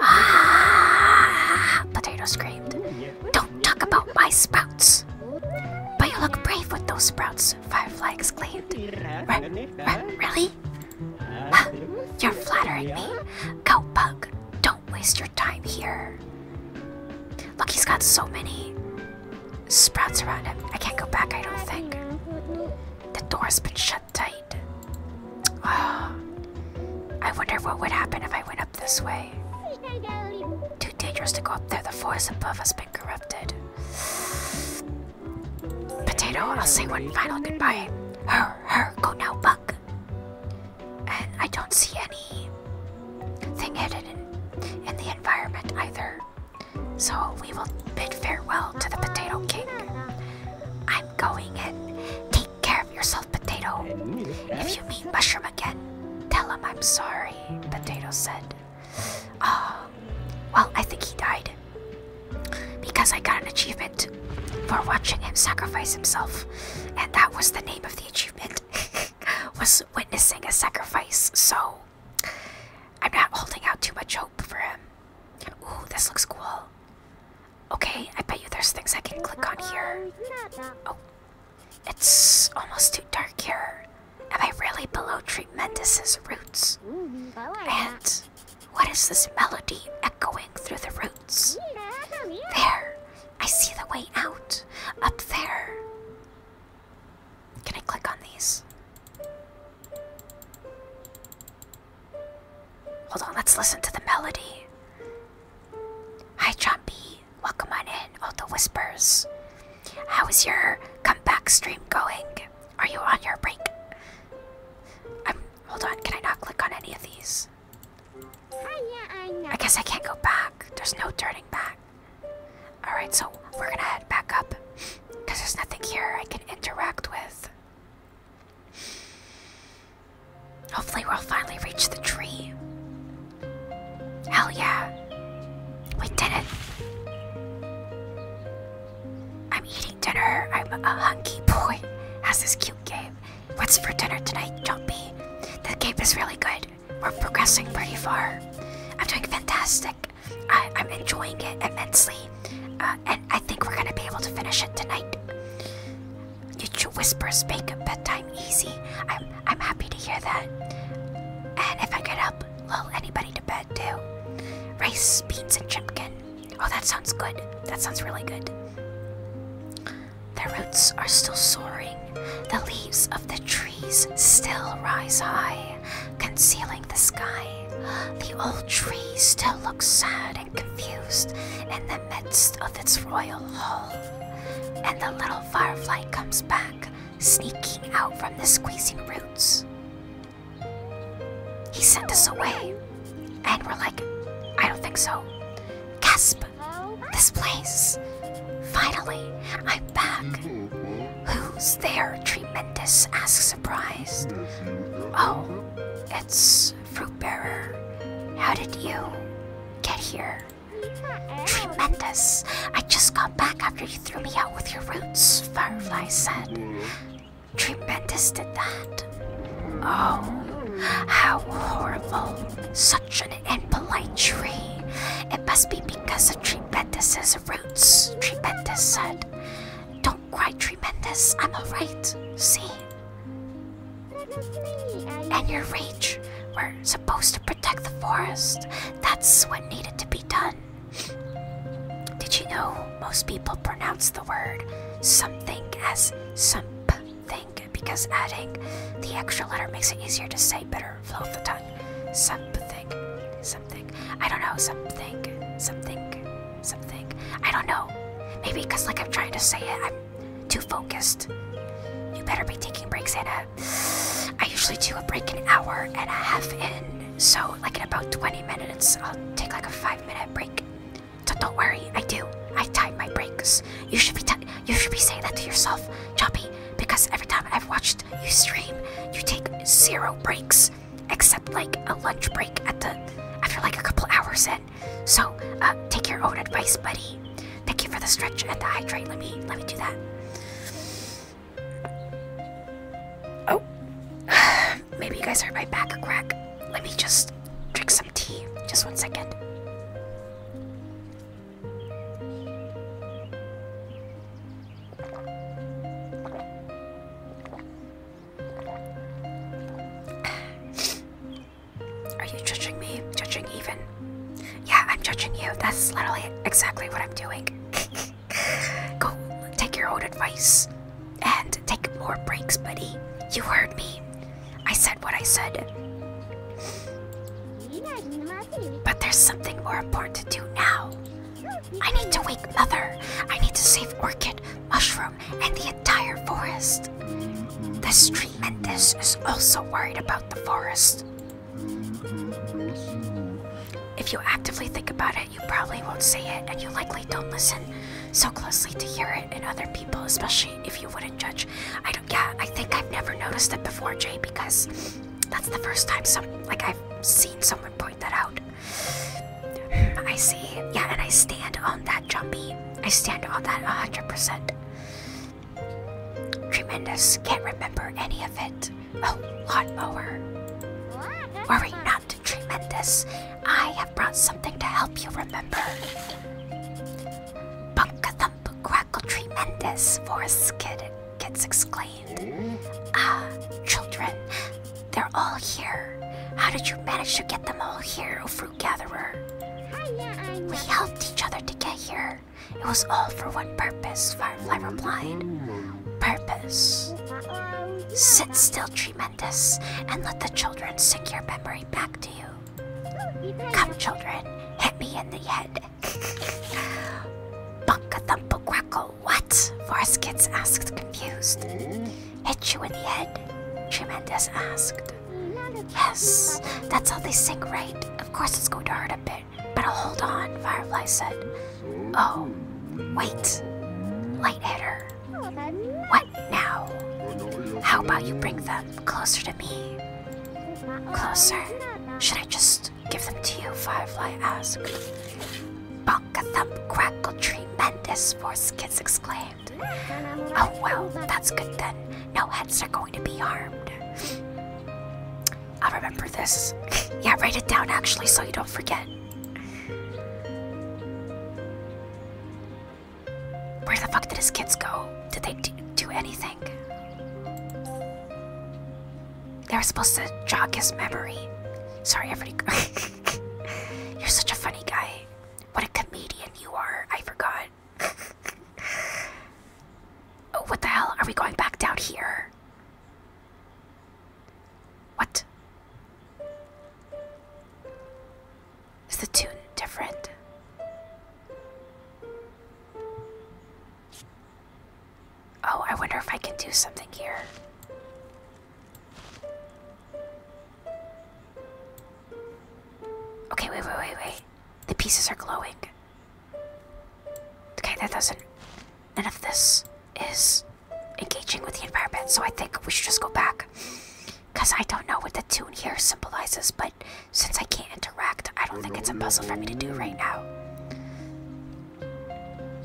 Ah! Potato screamed. Don't talk about my sprouts. But you look brave with those sprouts, Firefly exclaimed. really? you're flattering me. Go, Pug. Don't waste your time here. Look, he's got so many sprouts around him. I can't go back, I don't think. The door's been shut tight. Oh, I wonder what would happen if I went up this way. Too dangerous to go up there, the force above has been corrupted. Potato, I'll say one final goodbye. Her, her, go now, Buck. And I don't see any thing hidden in, the environment either. So we will bid farewell to the Potato King. I'm going in. Take care of yourself, Potato. If you meet Mushroom again, tell him I'm sorry, Potato said. Ah, well, I think he died. Because I got an achievement for watching him sacrifice himself. And that was the name of the achievement. was witnessing a sacrifice. So I'm not holding out too much hope for him. Ooh, this looks cool. Okay, I bet you there's things I can click on here. Oh, it's almost too dark here. Am I really below Tremendous's roots? And what is this melody echoing through the roots? There, I see the way out. Up there. Can I click on these? Hold on, let's listen to the melody. Hi, John B. Welcome on in. All oh, the whispers. How is your comeback stream going? Are you on your break? i Hold on, can I not click on any of these? Uh, I guess I can't go back. There's no turning back. Alright, so we're gonna head back up because there's nothing here I can interact with. Hopefully, we'll finally reach the tree. Hell yeah! We did it! I'm eating dinner. I'm a hunky boy. Has this cute game. What's for dinner tonight, Jumpy? The cape is really good we're progressing pretty far. I'm doing fantastic. I, am enjoying it immensely, uh, and I think we're gonna be able to finish it tonight. Your whispers make bedtime easy. I'm I'm happy to hear that. And if I get up, lull anybody to bed too. Rice, beans, and chicken. Oh, that sounds good. That sounds really good. The roots are still soaring. The leaves of the trees still rise high concealing the sky. The old tree still looks sad and confused in the midst of its royal hall. And the little firefly comes back, sneaking out from the squeezing roots. He sent us away, and we're like, I don't think so. Gasp! This place! Finally, I'm back! Who's there? Tremendous Asked surprised. Oh, it's Fruit Bearer. How did you get here? Tremendous! I just got back after you threw me out with your roots, Firefly said. Tremendous did that. Oh, how horrible. Such an impolite tree. It must be because of tremendous roots. Tremendous said, Don't cry, tremendous. I'm alright. See? And your rage. We're supposed to protect the forest. That's what needed to be done. Did you know most people pronounce the word something as something because adding the extra letter makes it easier to say better flow of the tongue? Something. I don't know, something, something, something. I don't know. Maybe because, like, I'm trying to say it, I'm too focused. You better be taking breaks, Anna. I usually do a break an hour and a half in, so, like, in about 20 minutes, I'll take, like, a five minute break. So don't worry, I do. I time my breaks. You should be, you should be saying that to yourself, Choppy because every time I've watched you stream, you take zero breaks, except like a lunch break at the after like a couple hours in. So uh, take your own advice, buddy. Thank you for the stretch and the hydrate. Let me let me do that. Oh, maybe you guys heard my back crack. Let me just drink some tea. Just one second. Are you judging me? Judging even? Yeah, I'm judging you. That's literally exactly what I'm doing. Go take your own advice and take more breaks, buddy. You heard me. I said what I said. But there's something more important to do now. I need to wake Mother. I need to save Orchid, Mushroom, and the entire forest. This Treatmentus is also worried about the forest. If you actively think about it, you probably won't say it, and you likely don't listen so closely to hear it in other people, especially if you wouldn't judge. I don't. Yeah, I think I've never noticed it before, Jay, because that's the first time some like I've seen someone point that out. I see. Yeah, and I stand on that jumpy. I stand on that 100%. Tremendous. Can't remember any of it. Oh, lower. Worry not, tremendous. I have brought something to help you remember. Bunka thump, crackle, tremendous. Forest kid gets exclaimed. Ah, children, they're all here. How did you manage to get them all here, O oh fruit gatherer? We helped each other to get here. It was all for one purpose, Firefly replied. Purpose. Sit still, Tremendous, and let the children sink your memory back to you. Come, children, hit me in the head. Bunka thumpa quacko Oh, what? Varskits asked, confused. Hit you in the head? Tremendous asked. Yes, that's how they sink, right? Of course it's going to hurt a bit, but hold on, Firefly said. Oh, wait. Light hitter. What now? How about you bring them closer to me? Closer? Should I just Give them to you, Firefly asked. Bonk a thump crackle tremendous, Skids exclaimed. Oh well, that's good then. No heads are going to be harmed. I'll remember this. yeah, write it down actually so you don't forget. Where the fuck did his kids go? Did they do anything? They were supposed to jog his memory. Sorry, everybody. You're such a funny guy. What a comedian you are. I forgot. oh, what the hell? Are we going back down here? What? Is the tune different? Oh, I wonder if I can do something here. Okay, wait, wait, wait, wait. The pieces are glowing. Okay, that doesn't. None of this is engaging with the environment, so I think we should just go back. Because I don't know what the tune here symbolizes, but since I can't interact, I don't think it's a puzzle for me to do right now.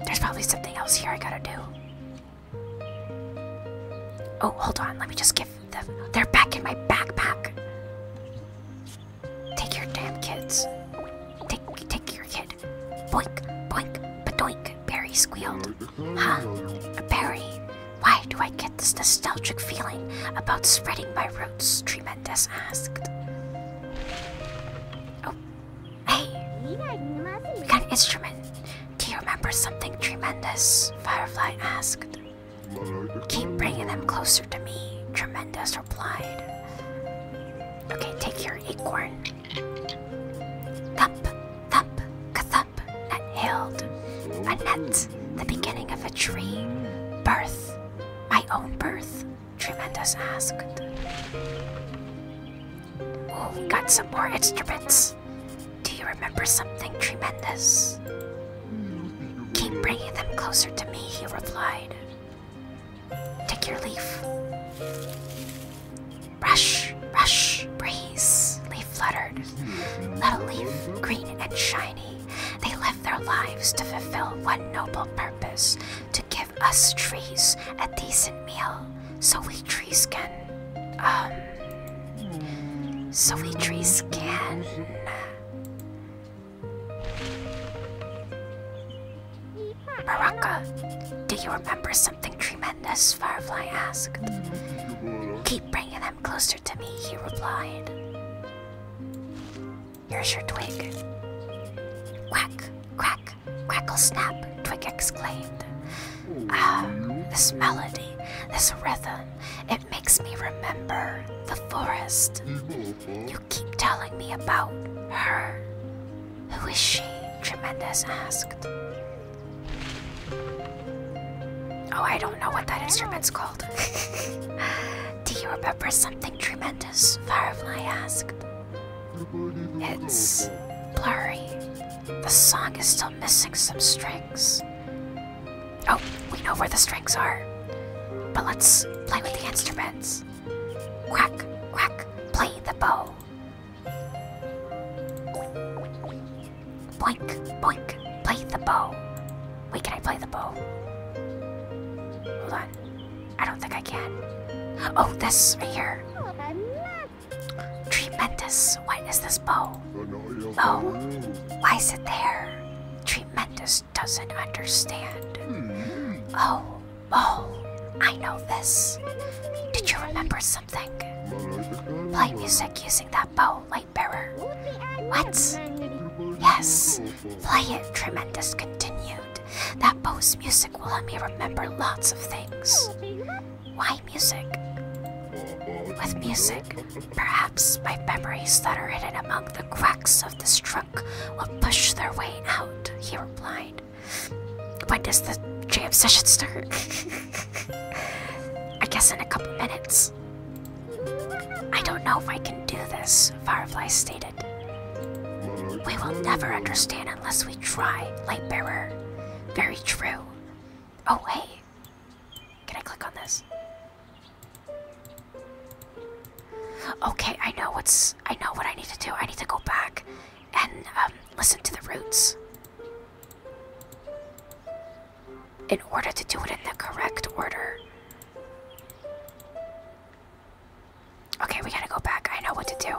There's probably something else here I gotta do. Oh, hold on. Let me just give them. They're back in my backpack. Take your damn kids. Take, take your kid. Boink, boink, badoink. Barry squealed. Huh? Barry. Why do I get this nostalgic feeling about spreading my roots? Tremendous asked. Oh, Hey, we got an instrument. Do you remember something tremendous? Firefly asked. Keep bringing them closer to me, Tremendous replied. Okay, take your acorn. Thump, thump, ka A nut, the beginning of a tree. Birth, my own birth. Tremendous asked. Oh, we got some more instruments. Do you remember something tremendous? Keep bringing them closer to me, he replied. Take your leaf. Rush, rush, breeze. Leaf fluttered. Little leaf, green and shiny, they live their lives to fulfill one noble purpose to give us trees a decent meal so we trees can um so we trees can Baraka, do you remember something tremendous? Firefly asked. Keep bringing them closer to me, he replied. Here's your twig. Quack, quack, Crackle snap, Twig exclaimed. Ah, this melody, this rhythm, it makes me remember the forest. You keep telling me about her. Who is she? Tremendous asked. Oh, I don't know what that instrument's called. Do you remember something tremendous? Firefly asked. It's blurry. The song is still missing some strings. Oh, we know where the strings are. But let's play with the instruments. Quack, quack, play the bow. Boink, boink, play the bow. Wait, can I play the bow? Hold on. I don't think I can. Oh, this right here. Oh, Tremendous. What is this bow? Oh, why is it there? Tremendous doesn't understand. Hmm. Oh, oh, I know this. Did you remember something? Play music using that bow, Lightbearer. What? Yes, play it, Tremendous continued. That Bose music will let me remember lots of things. Why music? With music, perhaps my memories that are hidden among the cracks of this trunk will push their way out, he replied. When does the jam session start? I guess in a couple minutes. I don't know if I can do this, Firefly stated. We will never understand unless we try, light bearer. Very true. Oh, hey. Can I click on this? Okay, I know what's. I know what I need to do. I need to go back and um, listen to the roots in order to do it in the correct order. Okay, we gotta go back. I know what to do.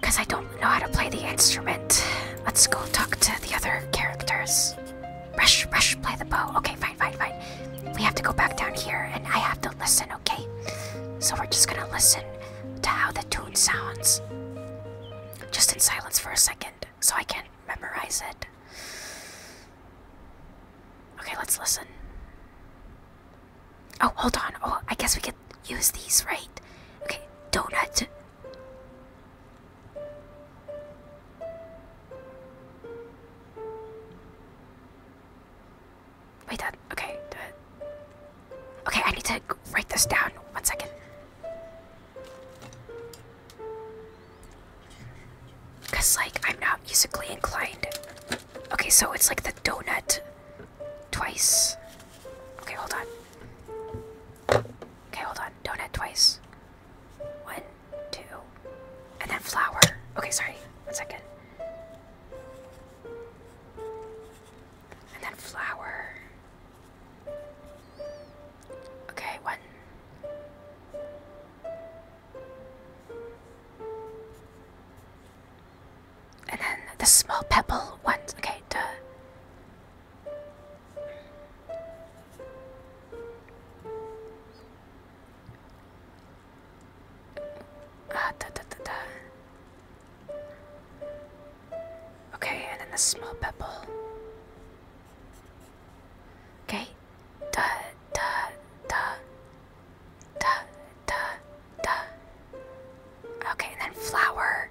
Because I don't know how to play the instrument. Let's go talk to the other characters. Rush, rush, play the bow. Okay, fine, fine, fine. We have to go back down here and I have to listen, okay? So we're just gonna listen to how the tune sounds. Just in silence for a second so I can memorize it. Okay, let's listen. Oh, hold on. Oh, I guess we could use these, right? Okay, donut. Wait, that. Okay, do it. Okay, I need to write this down. One second. Because, like, I'm not musically inclined. Okay, so it's like the donut. Twice. Okay, hold on. Okay, hold on. Donut twice. One, two. And then flour. Okay, sorry. One second. And then flour. Okay, one. And then the small pebble ones. Okay, the. Ah, da, da, da, da. Okay, and then the small pebble. Okay, da, da, da, da, da. Duh. Okay, and then flower,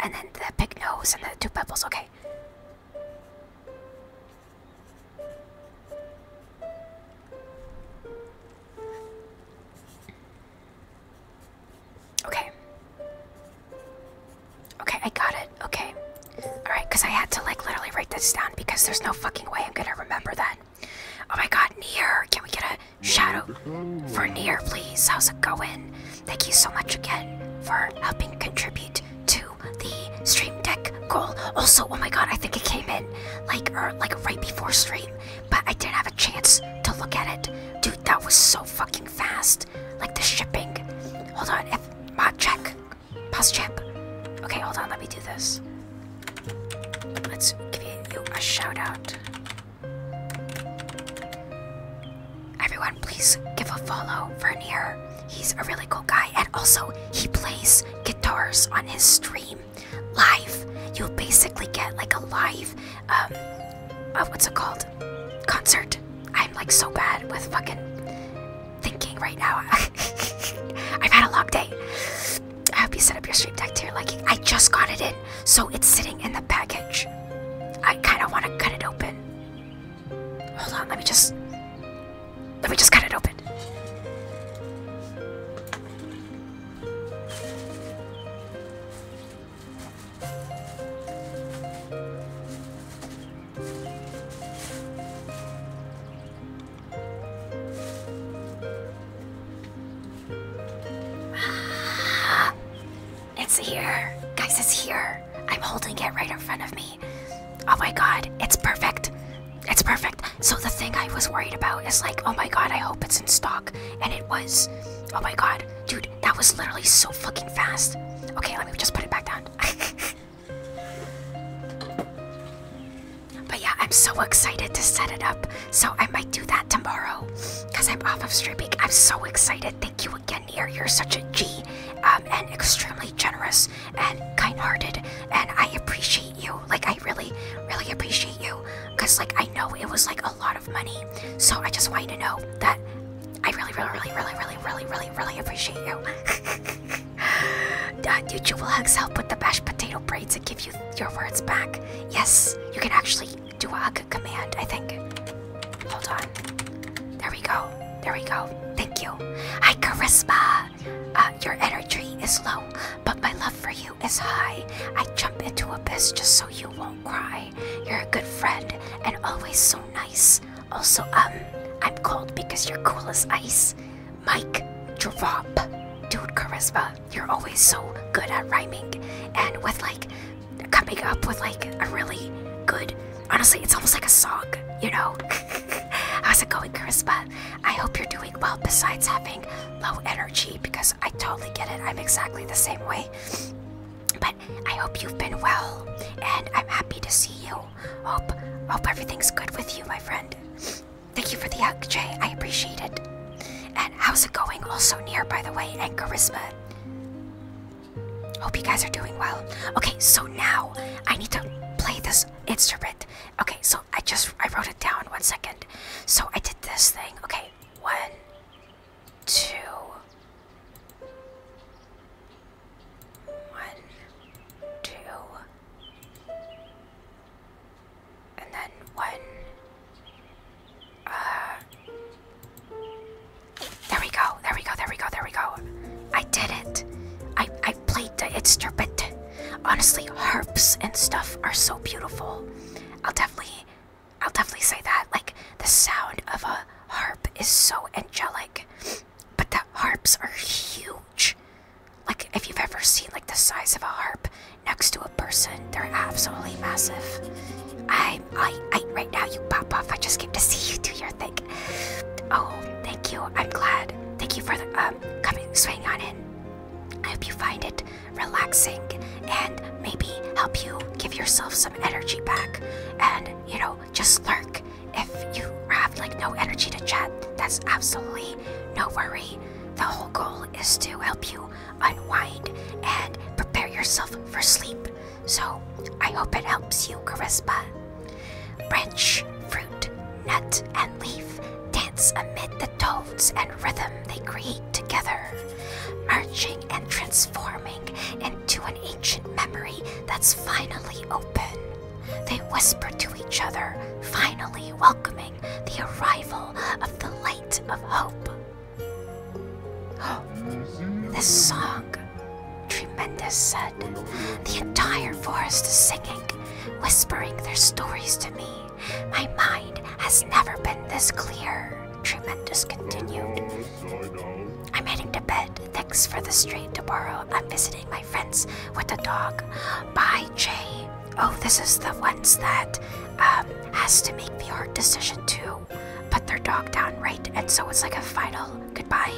and then the big nose and the two pebbles. Okay. Okay. Okay, I got it. Okay. Alright, because I had to like literally write this down because there's no fucking way I'm gonna remember that. Oh my god, near! Can we get a Shadow Vernier, please. How's it going? Thank you so much again for helping contribute to the stream deck goal. Also, oh my god, I think it came in like er, like right before stream, but I didn't have a chance to look at it. Dude, that was so fucking fast. Like the shipping. Hold on, F mod check. Pause chip. Okay, hold on, let me do this. Let's give you a shout out. Everyone, please give a follow Vernier. He's a really cool guy, and also he plays guitars on his stream live. You'll basically get like a live, um, uh, what's it called? Concert. I'm like so bad with fucking thinking right now. I've had a long day. I hope you set up your stream deck to your liking. I just got it in so it's sitting in the package. I kind of want to cut it open. Hold on, let me just. Let me just cut it open. It's here. Guys, it's here. I'm holding it right in front of me. Oh my god, it's perfect. It's perfect. So the thing I was worried about is like, oh my god, I hope it's in stock. And it was. Oh my god. Dude, that was literally so fucking fast. Okay, let me just put it back down. but yeah, I'm so excited to set it up. So I might do that tomorrow because I'm off of streaming. I'm so excited. Thank you again, Nier. You're such a G um, and extremely generous and kind hearted. And I appreciate you. Like, I really, really appreciate you because, like, I know it was like a lot of money. So I just want you to know that I really, really, really, really, really, really, really, really appreciate you. uh, YouTube will hugs help with the mashed potato braids and give you your words back. Yes, you can actually Duag command, I think. Hold on. There we go. There we go. Thank you. Hi, Charisma. Uh, your energy is low, but my love for you is high. I jump into abyss just so you won't cry. You're a good friend and always so nice. Also, um, I'm cold because you're cool as ice. Mike, drop. Dude, Charisma, you're always so good at rhyming. And with like coming up with like a really good honestly it's almost like a song you know how's it going charisma i hope you're doing well besides having low energy because i totally get it i'm exactly the same way but i hope you've been well and i'm happy to see you hope hope everything's good with you my friend thank you for the hug jay i appreciate it and how's it going also near by the way and charisma hope you guys are doing well. Okay, so now I need to play this instrument. Okay, so I just I wrote it down. One second. So I did this thing. Okay, one, two, one, two, and then one, uh, there we go, there we go, there we go, there we go. I did it. I, I played the instrument. Honestly, harps and stuff are so beautiful. I'll definitely, I'll definitely say that. Like, the sound of a harp is so angelic. But the harps are huge. Like, if you've ever seen, like, the size of a harp next to a person, they're absolutely massive. I i I right now you pop off. I just came to see you do your thing. Oh, thank you. I'm glad. Thank you for the um coming swinging on in. I hope you find it relaxing and maybe help you give yourself some energy back. And you know, just lurk. If you have like no energy to chat, that's absolutely no worry. The whole goal is to help you unwind and prepare yourself for sleep. So I hope it helps you, Carispa. Branch, fruit, nut, and leaf dance amid the tones and rhythm they create together, merging and transforming into an ancient memory that's finally open. They whisper to each other, finally welcoming the arrival of the light of hope. Oh, this song, Tremendous said. The entire forest is singing, whispering their stories to me. My mind has never been this clear. Tremendous continued. I'm heading to bed. Thanks for the stream tomorrow. I'm visiting my friends with the dog. Bye, Jay. Oh, this is the ones that um, has to make the hard decision too put their dog down, right? And so it's like a final goodbye,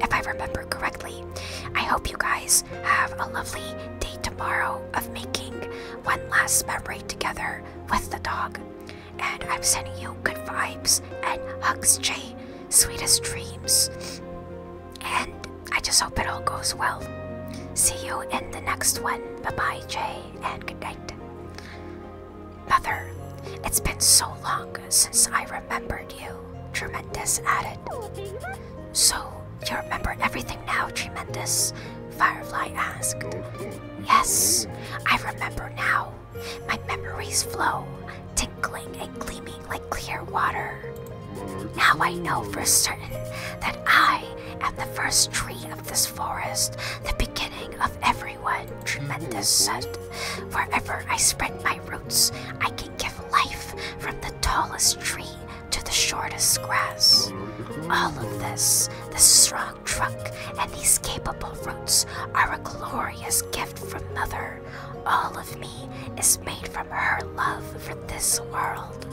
if I remember correctly. I hope you guys have a lovely day tomorrow of making one last memory together with the dog. And I'm sending you good vibes and hugs, Jay. Sweetest dreams. And I just hope it all goes well. See you in the next one. Bye bye, Jay, and good night. Mother, it's been so long since I remembered you, Tremendous added. So, you remember everything now, Tremendous? Firefly asked. Yes, I remember now. My memories flow, tinkling and gleaming like clear water. Now I know for certain that I am the first tree of this forest, the beginning of everyone. Tremendous soot. Wherever I spread my roots, I can give life from the tallest tree to the shortest grass. All of this, the strong trunk and these capable roots, are a glorious gift from Mother. All of me is made from her love for this world.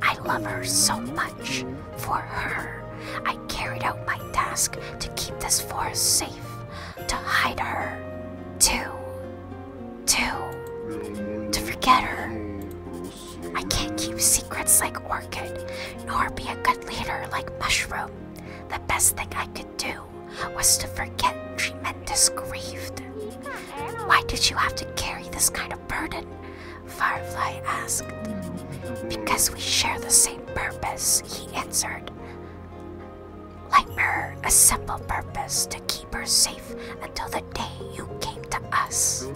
I love her so much for her. I carried out my task to keep this forest safe, to hide her, too, to, to forget her. I can't keep secrets like Orchid, nor be a good leader like Mushroom. The best thing I could do was to forget tremendous grieved. Why did you have to carry this kind of burden? Firefly asked. Because we share the same purpose, he answered. Like her, a simple purpose to keep her safe until the day you came to us.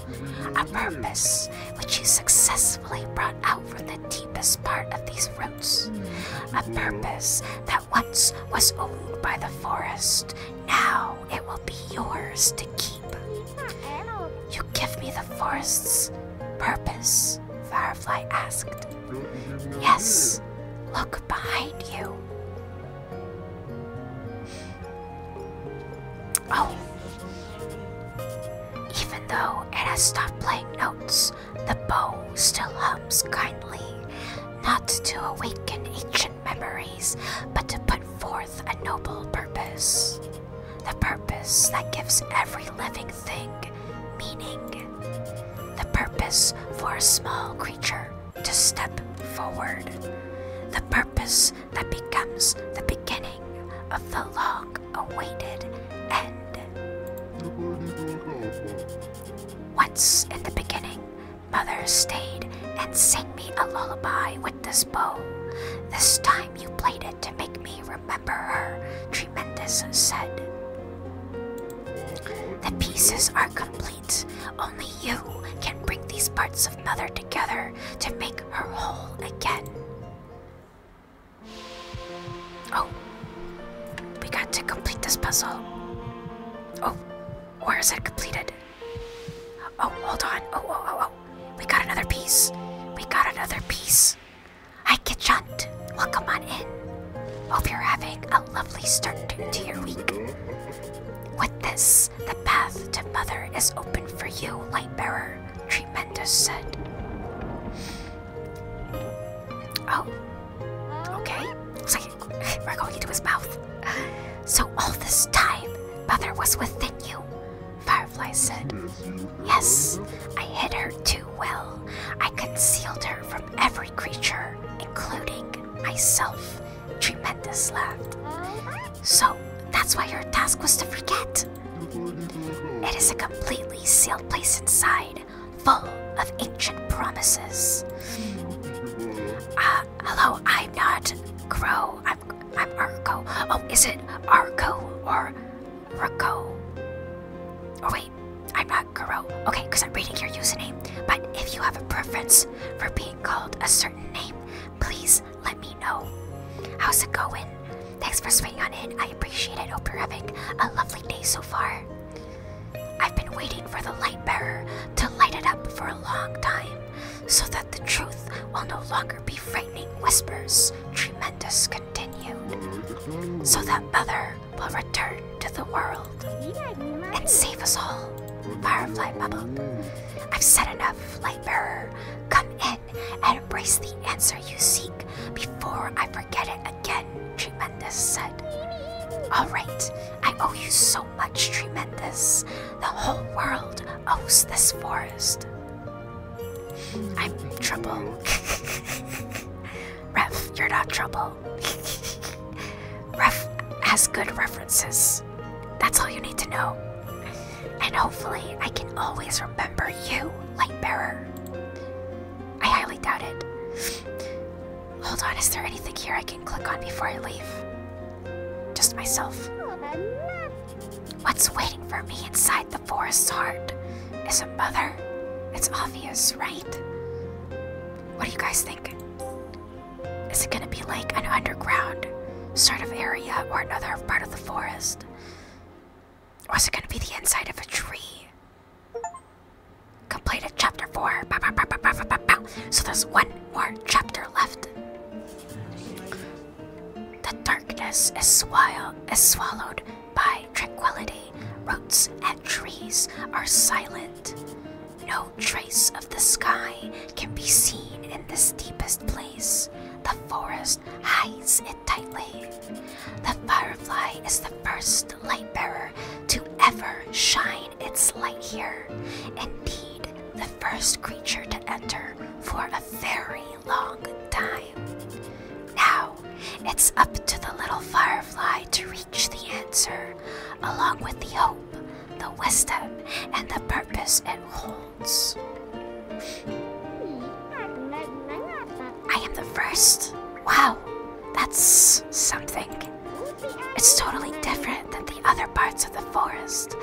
A purpose which you successfully brought out from the deepest part of these roots. A purpose that once was owned by the forest. Now it will be yours to keep. You give me the forest's purpose. Firefly asked. Yes, look behind you. Oh. Even though it has stopped playing notes, the bow still hums kindly, not to awaken ancient memories, but to put forth a noble purpose the purpose that gives every living thing meaning, the purpose for a small creature to step forward, the purpose that becomes the beginning of the long awaited end. Once in the beginning, Mother stayed and sang me a lullaby with this bow. This time you played it to make me remember her, Tremendous said. The pieces are complete. Only you can bring these parts of Mother together to make her whole again. Oh, we got to complete this puzzle. Oh, where is it completed? Oh, hold on. Oh, oh, oh, oh. We got another piece. We got another piece. Hi, Kitchunt. Welcome on in. Hope you're having a lovely start to your week. With this, the path to Mother is open for you, Lightbearer, Tremendous said. Oh, okay. Looks like we're going into his mouth. So all this time, Mother was within you, Firefly said. Yes, I hid her too well. I concealed her from every creature, including myself. Tremendous laughed. So, that's why your task was to forget. It is a completely sealed place inside, full of ancient promises. Uh, hello, I'm not Crow. I'm I'm Arco. Oh, is it Arco or Roko. Oh wait, I'm not Kuro. Okay, because I'm reading your username. But if you have a preference for being called a certain name, please let me know. How's it going? Thanks for swinging on in. I appreciate it. Hope you're having a lovely day so far. I've been waiting for the light bearer to light it up for a long time so that the truth will no longer be frightening whispers, tremendous so that Mother will return to the world and save us all. Firefly bubbled. I've said enough, Lightbearer. Come in and embrace the answer you seek before I forget it again, Tremendous said. Alright, I owe you so much, Tremendous. The whole world owes this forest. I'm in trouble. Ref, you're not trouble. Ref has good references. That's all you need to know. And hopefully, I can always remember you, Lightbearer. I highly doubt it. Hold on, is there anything here I can click on before I leave? Just myself. What's waiting for me? inside the forest's heart is a mother. It's obvious, right? What do you guys think? Is it gonna be like an underground sort of area or another part of the forest? Or is it gonna be the inside of a tree? Completed chapter 4. So there's one more chapter left. The darkness is, swall is swallowed by tranquility roots and trees are silent. No trace of the sky can be seen in this deepest place. The forest hides it tightly. The firefly is the first light bearer to ever shine its light here. Indeed, the first creature to enter for a very long time. Now, it's up to the little firefly to reach the answer, along with the hope, the wisdom, and the purpose it holds. I am the first. Wow, that's something. It's totally different than the other parts of the forest.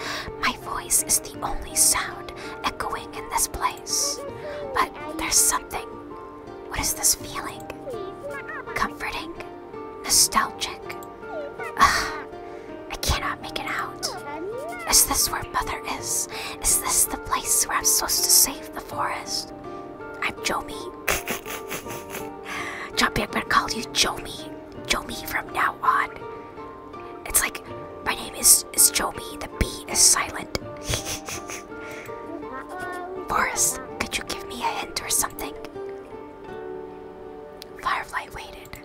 My voice is the only sound echoing in this place. But there's something what is this feeling? Comforting? Nostalgic? I cannot make it out. Is this where Mother is? Is this the place where I'm supposed to save the forest? I'm Jomi. Jumpy, I'm gonna call you Jomi. Jomi from now on. It's like my name is is Jomi. The B is silent island. Boris, could you give me a hint or something? Firefly waited.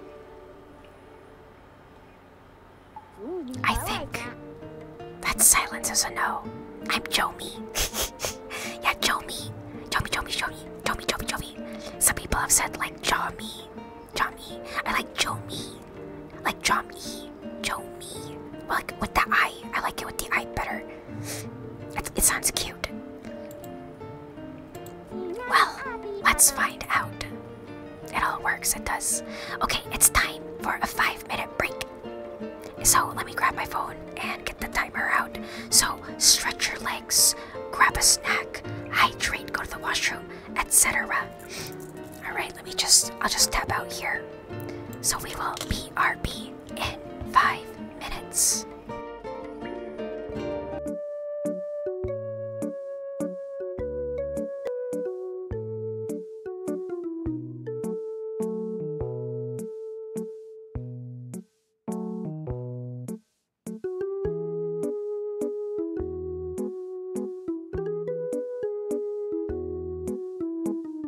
I think that silence is a no. I'm Jomi. yeah, Jomi. Jomi, Jomi, Jomi. Jomi, Jomi, Jomi. Some people have said like Jomi. Jomi. I like Jomi. Like Chomi, Chomi. Like with the eye. I like it with the eye better. it sounds cute. Well, let's find out. It all works, it does. Okay, it's time for a five minute break. So let me grab my phone and get the timer out. So stretch your legs, grab a snack, hydrate, go to the washroom, etc. Alright, let me just, I'll just tap out here. So we will be BRB in five minutes.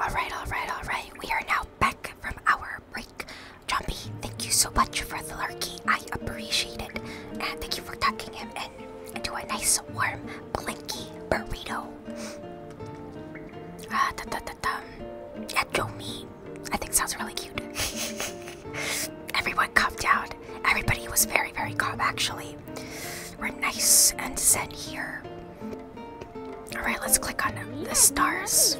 All right, all right, all right. We are now back from our break. Jumpy, thank you so much for the larky. I appreciate it. And thank you for tucking him in into a nice warm Blinky burrito. Ah, da, da, da, da. Yeah, I think sounds really cute. Everyone calmed down. Everybody was very, very calm actually. We're nice and zen here. Alright, let's click on the stars.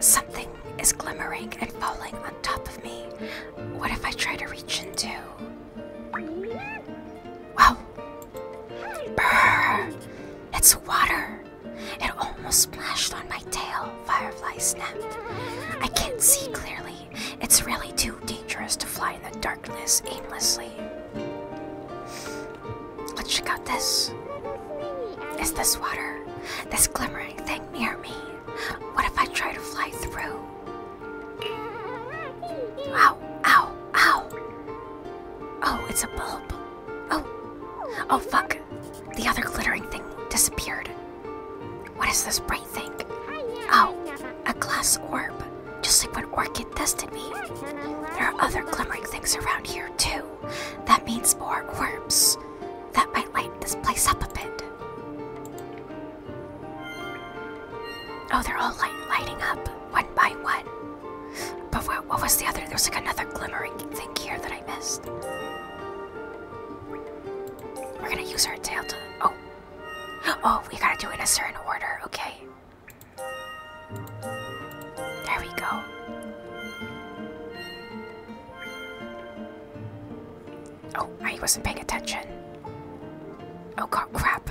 Something is glimmering and falling on top of me. What if I try to reach into Wow. Brr. It's water. It almost splashed on my tail, Firefly snapped. I can't see clearly. It's really too dangerous to fly in the darkness aimlessly. Let's check out this. Is this water? This glimmering thing near me? What if I try to fly through? Ow, ow, ow. Oh, it's a bulb. Oh, oh fuck. The other glittering thing disappeared. What is this bright thing? Oh, a glass orb. Just like when Orchid tested me. There are other glimmering things around here, too. That means more orbs. That might light this place up a bit. Oh, they're all light lighting up one by one. But what, was the other? There's like another glimmering thing here that I missed. We're gonna use our tail to. Oh. Oh, we gotta do it in a certain order, okay. There we go. Oh, I wasn't paying attention. Oh god, crap.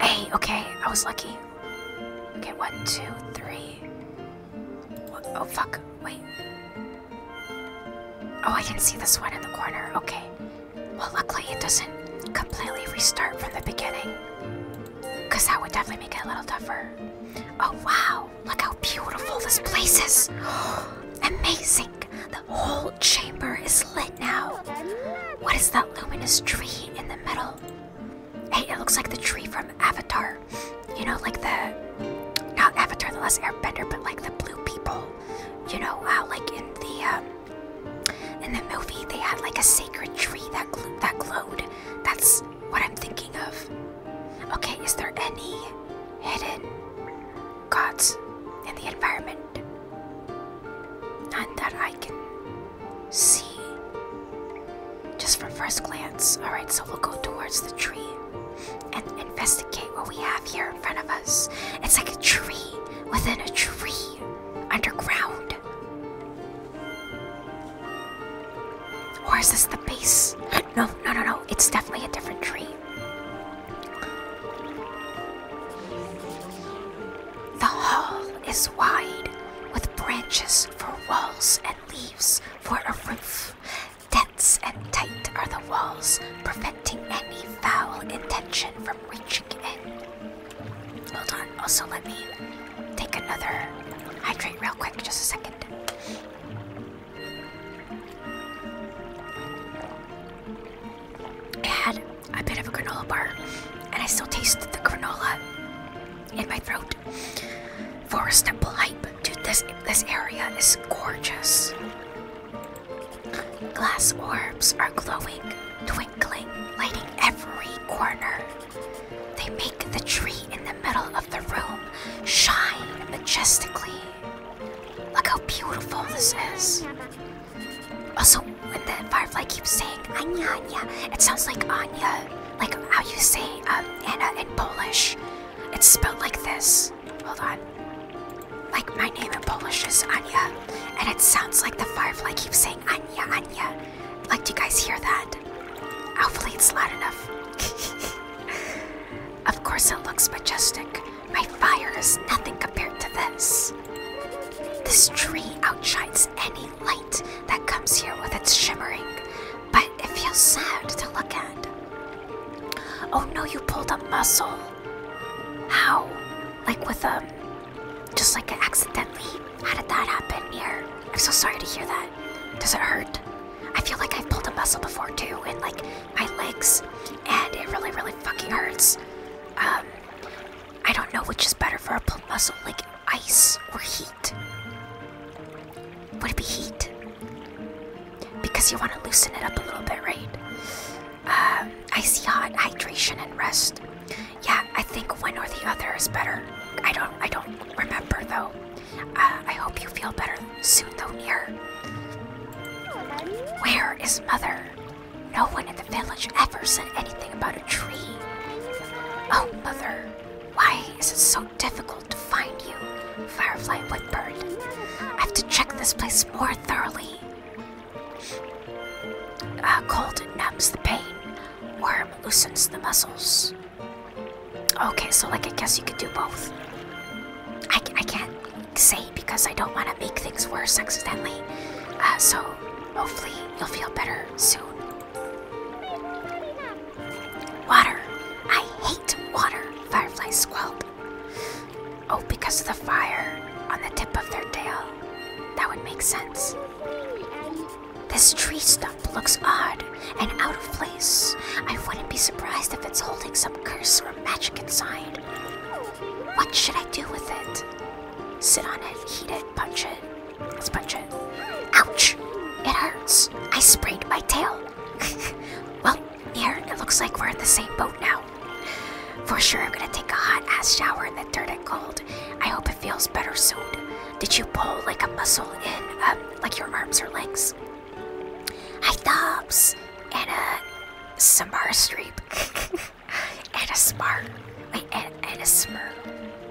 Hey, okay, I was lucky. Okay, one, two, three. Oh, fuck, wait. Oh, I can see this one in the corner, okay. Well, luckily it doesn't completely restart from the beginning. Because that would definitely make it a little tougher. Oh, wow, look how beautiful this place is. Amazing the whole chamber is lit now. What is that luminous tree in the middle? Hey, it looks like the tree from Avatar. You know, like the. Not Avatar, the last airbender, but like the blue people. You know, uh, like in the. Um, in the movie, they had like a sacred tree that, that glowed. That's what I'm thinking of. Okay, is there any hidden gods and the environment. None that I can see just from first glance. Alright, so we'll go towards the tree and investigate what we have here in front of us. It's like a tree within a tree underground. Or is this the base? No, no, no, no. It's definitely a different tree. The hall is wide, with branches for walls and leaves for a roof. Dense and tight are the walls, preventing any foul intention from reaching in. Hold on, also let me take another hydrate real quick, just a second. I had a bit of a granola bar, and I still tasted the granola in my throat. Forest Temple Hype. Dude, this, this area is gorgeous. Glass orbs are glowing, twinkling, lighting every corner. They make the tree in the middle of the room shine majestically. Look how beautiful this is. Also, when the firefly keeps saying Anya Anya, it sounds like Anya, like how you say um, Anna in Polish. It's spelled like this. Hold on. Like my name in Polish is Anya, and it sounds like the firefly keeps saying Anya Anya. Like, do you guys hear that? Hopefully, it's loud enough. of course, it looks majestic. My fire is nothing compared to this. This tree outshines any light that comes here with its shimmering, but it feels sad to look at. Oh no, you pulled a muscle. How? Like with a. Um, just like accidentally? How did that happen here? I'm so sorry to hear that. Does it hurt? I feel like I've pulled a muscle before too, and like my legs, and it really, really fucking hurts. Um, I don't know which is better for a muscle, like ice or heat. Would it be heat? Because you want to loosen it up a little bit, right? Um, I see. hot, hydration, and rest. Yeah, I think one or the other is better. I don't, I don't remember though. Uh, I hope you feel better soon, though, Nier. Where is Mother? No one in the village ever said anything about a tree. Oh, Mother, why is it so difficult to find you, Firefly Woodbird? I have to check this place more thoroughly. Uh, cold numbs the pain, warm loosens the muscles. Okay, so like I guess you could do both. I, I can't say because I don't want to make things worse accidentally. Uh, so hopefully you'll feel better soon. Water. I hate water, fireflies squelp. Oh, because of the fire on the tip of their tail. That would make sense. This tree stump looks odd and out of place. I wouldn't be surprised if it's holding some curse magic inside. What should I do with it? Sit on it, heat it, punch it. Let's punch it. Ouch! It hurts. I sprained my tail. well, here it looks like we're in the same boat now. For sure, I'm gonna take a hot ass shower in the dirt and cold. I hope it feels better soon. Did you pull like a muscle in, um, like your arms or legs? Hi, Dobbs! And, uh, Samara and smart. Wait, and, and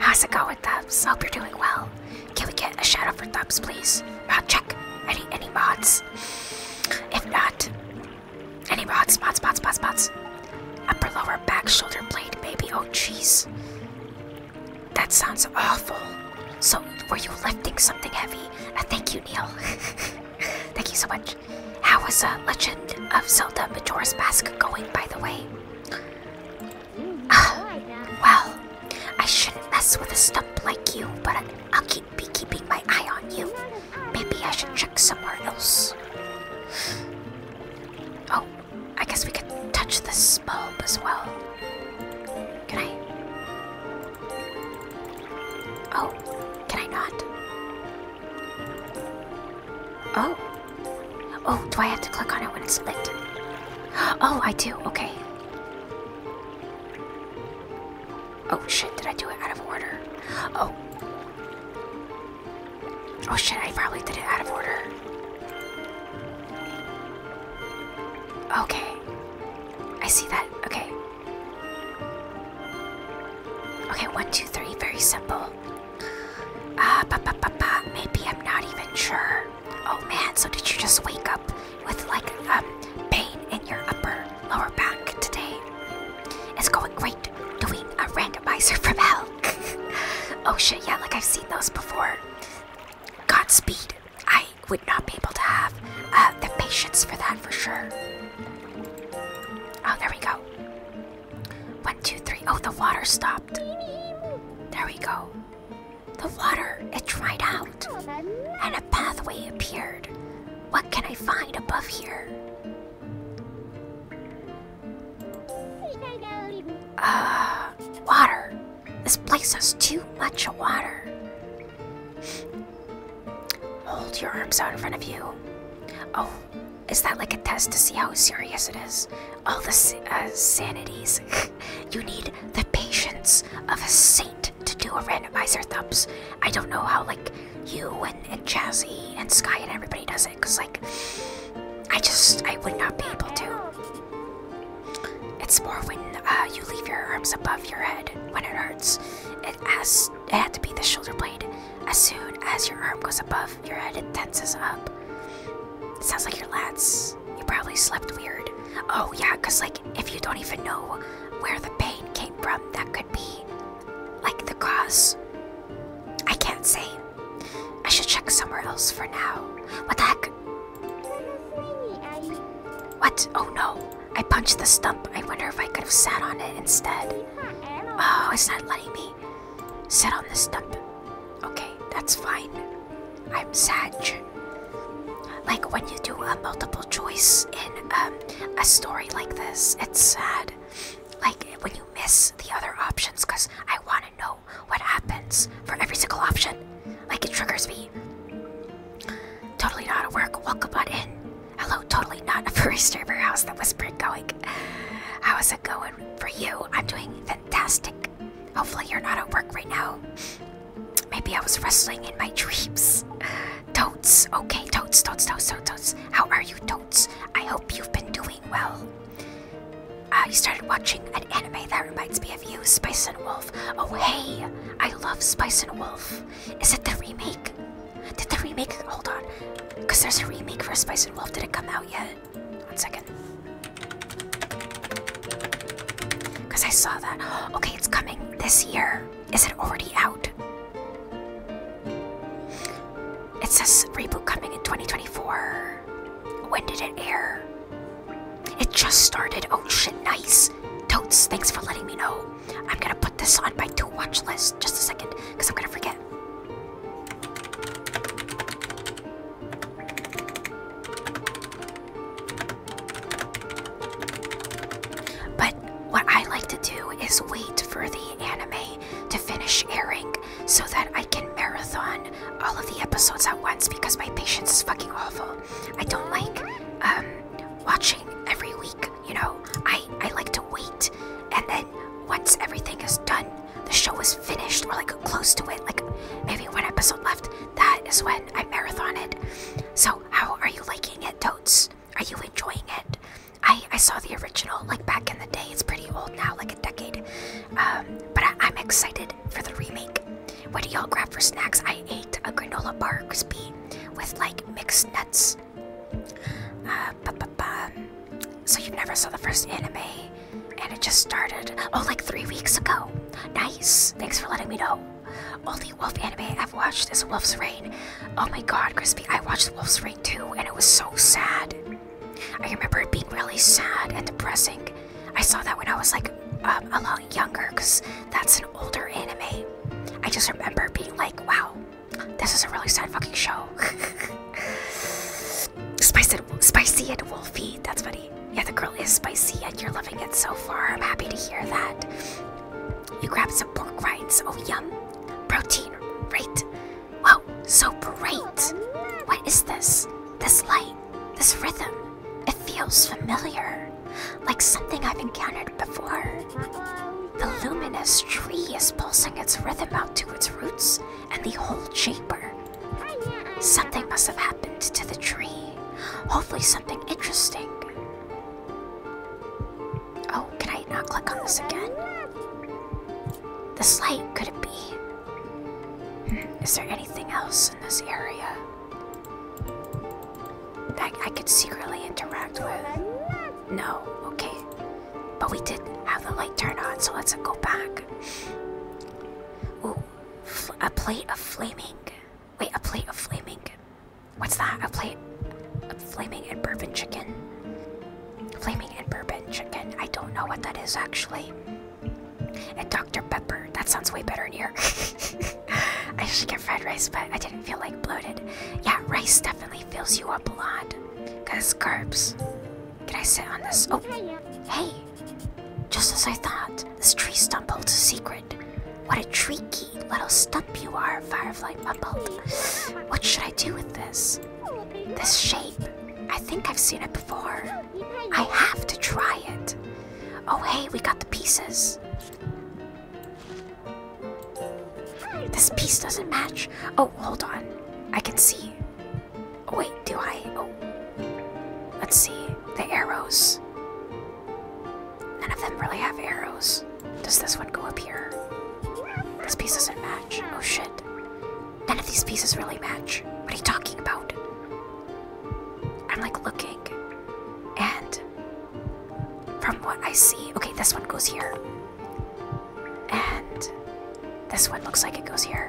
How's it going, Thumbs? Hope you're doing well. Can we get a shout out for Thumbs, please? check. Any any mods? If not, any mods, mods, mods, mods, mods. Upper, lower, back, shoulder blade, baby. Oh, jeez. That sounds awful. So, were you lifting something heavy? Uh, thank you, Neil. thank you so much much. How is uh, Legend of Zelda Majora's Mask going, by the way? Mm, ah, well, I shouldn't mess with a stump like you, but I'll keep be keeping my eye on you. Maybe I should check somewhere else. Oh, I guess we could touch the bulb as well. Can I? Oh, can I not? Oh. Oh, do I have to click on it when it's lit? Oh, I do, okay. Oh shit, did I do it out of order? Oh. Oh shit, I probably did it out of order. Okay. I see that. Okay. Okay, one, two, three, very simple. Ah, uh, ba ba ba Maybe I'm not even sure. Oh man, so did you just wake up with like um pain in your upper lower back today? It's going great doing a randomizer from hell. oh shit, yeah, like I've seen those before. Godspeed. I would not be able to have uh, the patience for that for sure. Oh, there we go. One, two, three. Oh, the water stopped. There we go. The water, it dried out, and a pathway appeared. What can I find above here? Uh, water. This place has too much water. Hold your arms out in front of you. Oh, is that like a test to see how serious it is? All the uh, sanities. you need the patience of a saint to do a randomizer thumbs. I don't know how like you and, Jazzy and Sky and everybody does it, cause like I just I would not be able to. It's more when uh, you leave your arms above your head when it hurts. It asks it had to be the shoulder blade. As soon as your arm goes above your head, it tenses up. sounds like your lats. You probably slept weird. Oh yeah, cause like if you don't even know where the pain came from, that could be like the cause. I can't say. I should check somewhere else for now. What the heck? What? Oh no. I punched the stump. I wonder if I could have sat on it instead. Oh, it's not letting me sit on the stump. Okay, that's fine. I'm sad. Like when you do a multiple choice in um, a story like this, it's sad. Like when you miss the other options, because I want to know what happens for every single option. Like it triggers me. Totally not at work. Welcome on in. Hello, totally not a furry server. How's the whispering going? How's it going for you? I'm doing fantastic. Hopefully, you're not at work right now. Maybe I was wrestling in my dreams. Toads, okay, toads, toads, toads, toads. How are you, toads? I hope you've been doing well. I uh, started watching an anime that reminds me of you, Spice and Wolf. Oh, hey, I love Spice and Wolf. Is it the remake? Did the remake? Hold on, because there's a remake for *A and Wolf. Did it come out yet? One second. Because I saw that. Okay, it's coming this year. Is it already out? It says reboot coming in 2024. When did it air? It just started. Oh shit, nice. Totes, thanks for letting me know. I'm gonna put this on my to watch list just a second because I'm gonna forget. But what I like to do is wait for the anime to finish airing so that I can marathon all of the episodes at once because my patience is fucking awful. I don't like um, watching every week you know, I, I like to wait. And then once everything is done, the show is finished or like close to it, like maybe one episode left, that is when I marathon it. So, how are you liking it, Totes? Are you enjoying it? I, I saw the original like back in the day. It's pretty old now, like a decade. Um, but I, am excited for the remake. What do y'all grab for snacks? I ate a granola bar crispy with like mixed nuts uh, so you never saw the first anime, and it just started oh like three weeks ago. Nice. Thanks for letting me know. Only wolf anime I've watched is Wolf's Rain. Oh my God, Crispy! I watched Wolf's Rain too, and it was so sad. I remember it being really sad and depressing. I saw that when I was like um, a lot younger, cause that's an older anime. I just remember being like, wow, this is a really sad fucking show. Spicy, spicy and wolfy. That's funny. Yeah, the girl is spicy and you're loving it so far. I'm happy to hear that. You grabbed some pork rinds. Oh, yum. Protein, right? Wow, so bright. What is this? This light, this rhythm. It feels familiar. Like something I've encountered before. The luminous tree is pulsing its rhythm out to its roots and the whole chamber. Something must have happened to the tree. Hopefully, something interesting. Oh, can I not click on this again? The light, could it be? Hmm, is there anything else in this area that I could secretly interact with? No, okay. But we did have the light turn on, so let's go back. Ooh, a plate of flaming. Wait, a plate of flaming. What's that? A plate of flaming and bourbon chicken. Flaming and bourbon chicken. I don't know what that is actually. And Dr. Pepper. That sounds way better in here. I should get fried rice, but I didn't feel like bloated. Yeah, rice definitely fills you up a lot. Got scarps. Can I sit on this? Oh, hey! Just as I thought, this tree stump holds a secret. What a tricky little stump you are, Firefly mumbled. What should I do with this? This shape. I think I've seen it before. I have to try it. Oh, hey, we got the pieces. This piece doesn't match. Oh, hold on. I can see. Oh, wait, do I? Oh. Let's see. The arrows. None of them really have arrows. Does this one go up here? This piece doesn't match. Oh shit. None of these pieces really match. What are you talking about? I'm like looking. And from what I see, okay, this one goes here. And this one looks like it goes here.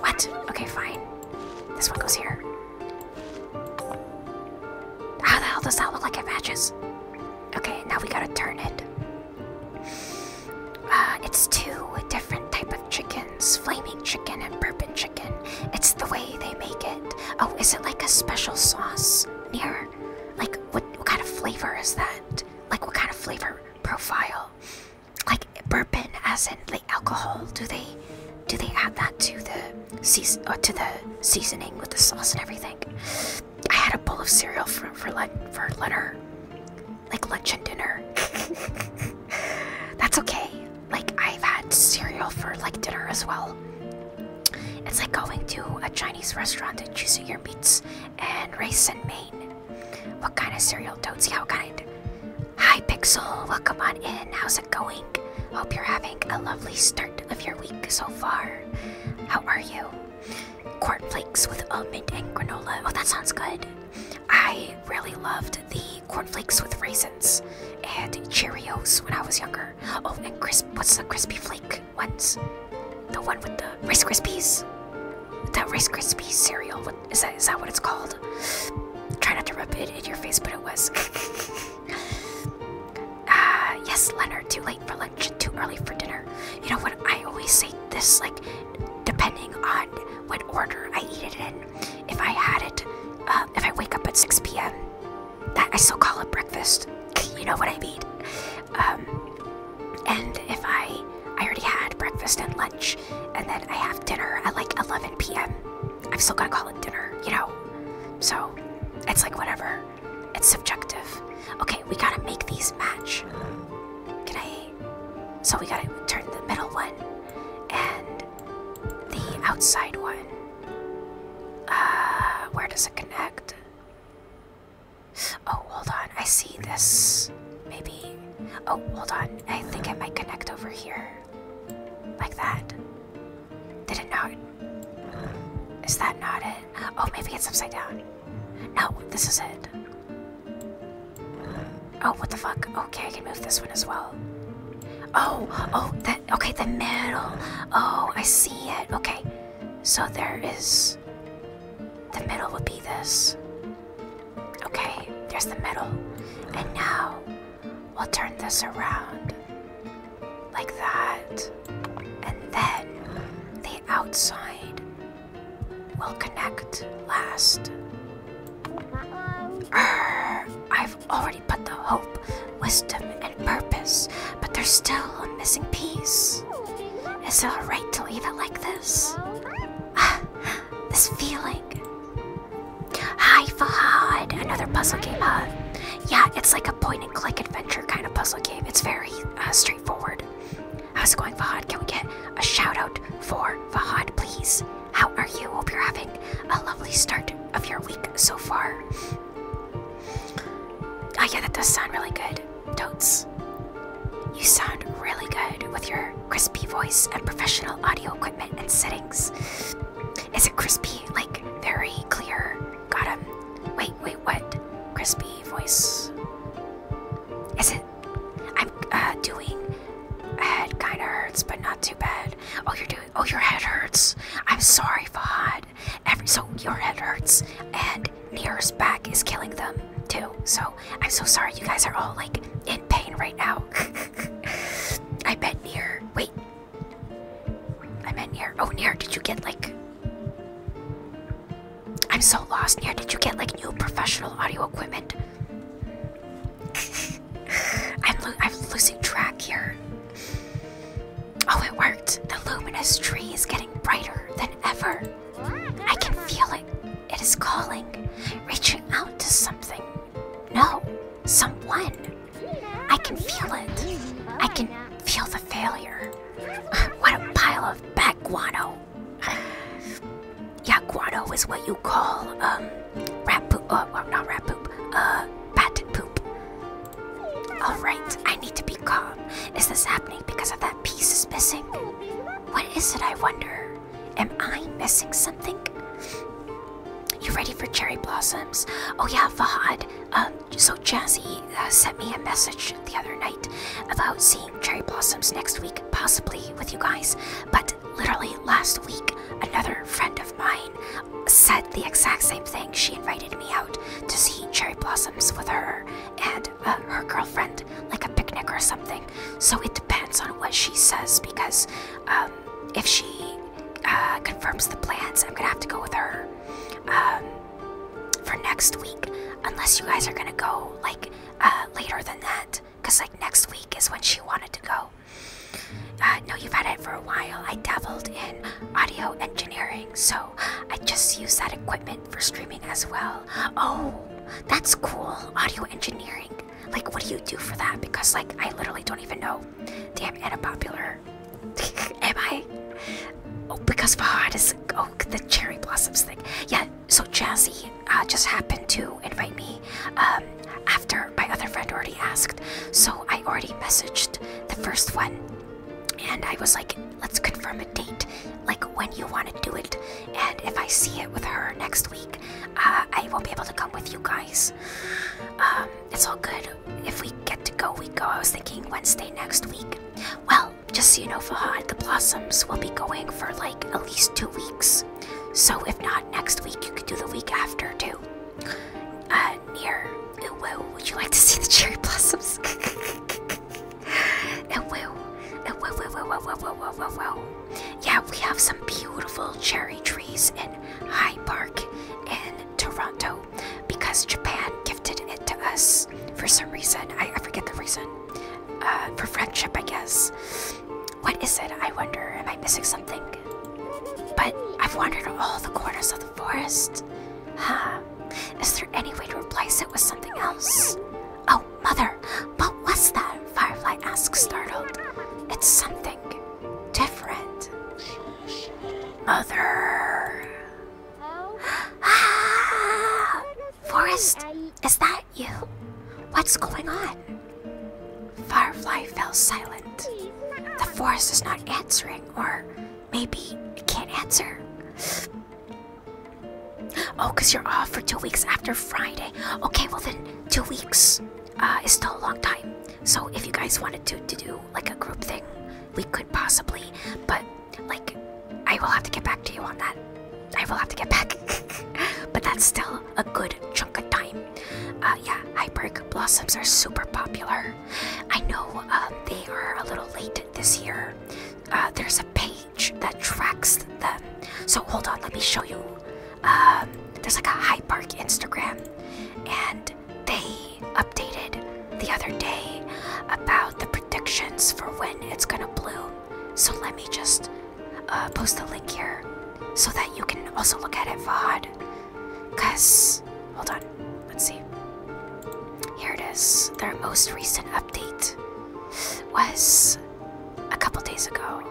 What? Okay, fine. This one goes here. How the hell does that look like it matches? Okay, now we gotta turn it. Uh, it's two different type of chickens, flaming chicken and bourbon chicken. It's the way they make it. Oh, is it like a special sauce near? Like, what, what kind of flavor is that? Like what kind of flavor profile? Like bourbon, acid, like alcohol? Do they do they add that to the season uh, to the seasoning with the sauce and everything? I had a bowl of cereal for like for lunner, like lunch and dinner. That's okay. Like I've had cereal for like dinner as well. It's like going to a Chinese restaurant and choosing your meats and race in Maine. What kind of cereal? Toadsy, how kind? Hi Pixel, welcome on in. How's it going? Hope you're having a lovely start of your week so far. How are you? Cornflakes with almond and granola. Oh, that sounds good. I really loved the cornflakes with raisins and Cheerios when I was younger. Oh, and crisp. What's the crispy flake? What's The one with the Rice Krispies. With that Rice Krispies cereal. What, is that? Is that what it's called? Try not to rub it in your face, but it was. Ah, yes, Leonard. Too late for lunch, too early for dinner. You know what? I always say this, like, depending on what order I eat it in. If I had it, uh, if I wake up at 6 p.m., that I still call it breakfast. you know what I mean? Um, and if I, I already had breakfast and lunch, and then I have dinner at like 11 p.m. i have still got to call it dinner, you know. So it's like whatever. It's subjective. Okay, we gotta make these match. Can I? So we gotta turn the middle one and the outside one. Uh, where does it connect? Oh, hold on. I see this. Maybe. Oh, hold on. I think it might connect over here. Like that. Did it not? Is that not it? Oh, maybe it's upside down. No, this is it. Oh, what the fuck? Okay, I can move this one as well. Oh, oh, that, okay, the middle. Oh, I see it. Okay, so there is the middle would be this. Okay, there's the middle. And now we'll turn this around like that. And then the outside will connect last. Arr, I've already put the hope, wisdom, and purpose, but there's still a missing piece. Is it alright to leave it like this? this feeling. Hi, Fahad! Another puzzle game, huh? Yeah, it's like a point and click adventure kind of puzzle game. It's very uh, straightforward. How's it going, Fahad? Can we get a shout out for Fahad, please? How are you? Hope you're having a lovely start of your week so far. Oh, yeah, that does sound really good. Totes. You sound really good with your crispy voice and professional audio equipment and settings. Is it crispy? Like very clear. Got him. Wait, wait, what? Crispy voice. Is it? I'm uh, doing. Head kind of hurts, but not too bad. Oh, you're doing. Oh, your head hurts. I'm sorry, Fahad. Every so your head hurts, and Near's back is killing them too. So I'm so sorry you guys are all like in pain right now. I bet Near. Wait. I meant Near. Oh, Near, did you get like. I'm so lost, Near. Did you get like new professional audio equipment? I'm, I'm losing track here. Oh, it worked. The luminous tree is getting brighter than ever. I can feel it. It is calling, reaching out to something. No, someone. I can feel it. I can feel the failure. what a pile of back guano. yeah, guano is what you call um rat poop. Oh, well, not rat poop. Uh, bat poop. All right, I need to be calm. Is this happening because of that piece is missing? What is it, I wonder? Am I missing something? You ready for cherry blossoms? Oh yeah, Fahad. Um, so Jazzy uh, sent me a message the other night about seeing cherry blossoms next week, possibly with you guys. But literally last week, another friend of mine said the exact same thing. She invited me out to see cherry blossoms with her, and uh, her girlfriend like a picnic or something. So it depends on what she says because um, if she uh, confirms the plans, I'm gonna have to go with her um, for next week. Unless you guys are gonna go like uh, later than that, because like next week is when she wanted to go. no, you've had it for a while. I dabbled in audio engineering, so I just use that equipment for streaming as well. Oh, that's cool. Audio engineering. Like, what do you do for that? Because, like, I literally don't even know. Damn, Anna Popular. Am I? Oh, because Fahad is. Oh, the cherry blossoms thing. Yeah, so Jazzy uh, just happened to invite me um, after my other friend already asked. So I already messaged the first one. And I was like, let's confirm it date, like when you want to do it. And if I see it with her next week, uh, I will not be able to come with you guys. Um, it's all good. If we get to go, we go. I was thinking Wednesday next week. Well, just so you know, Fahad, the blossoms will be going for like at least two weeks. So if not next week, you could do the week after too. Uh, Ooh, uh, would you like to see the cherry blossoms? And we'll, and we'll, we'll, Yeah, we have some beautiful cherry trees in High Park in Toronto because Japan gifted it to us for some reason. I, forget the reason. Uh, for friendship, I guess. What is it? I wonder. Am I missing something? But I've wandered all the corners of the forest. Huh. Is there any way to replace it with something else? Oh, Mother, what was that? Firefly asked, startled. It's something different. Mother. Ah! Forest, is that you? What's going on? Firefly fell silent. The forest is not answering, or maybe it can't answer. Oh, because you're off for two weeks after Friday. Okay, well then, two weeks uh, is still a long time. So if you guys wanted to, to do like a group thing, we could possibly. But like, I will have to get back to you on that. I will have to get back. but that's still a good chunk of time. Uh, yeah, Hyperg Blossoms are super popular. I know um, they are a little late this year. Uh, there's a pay that tracks them. So hold on, let me show you. Um, there's like a High Park Instagram, and they updated the other day about the predictions for when it's gonna bloom. So let me just uh, post a link here so that you can also look at it VOD. Cause hold on, let's see. Here it is. Their most recent update was a couple days ago.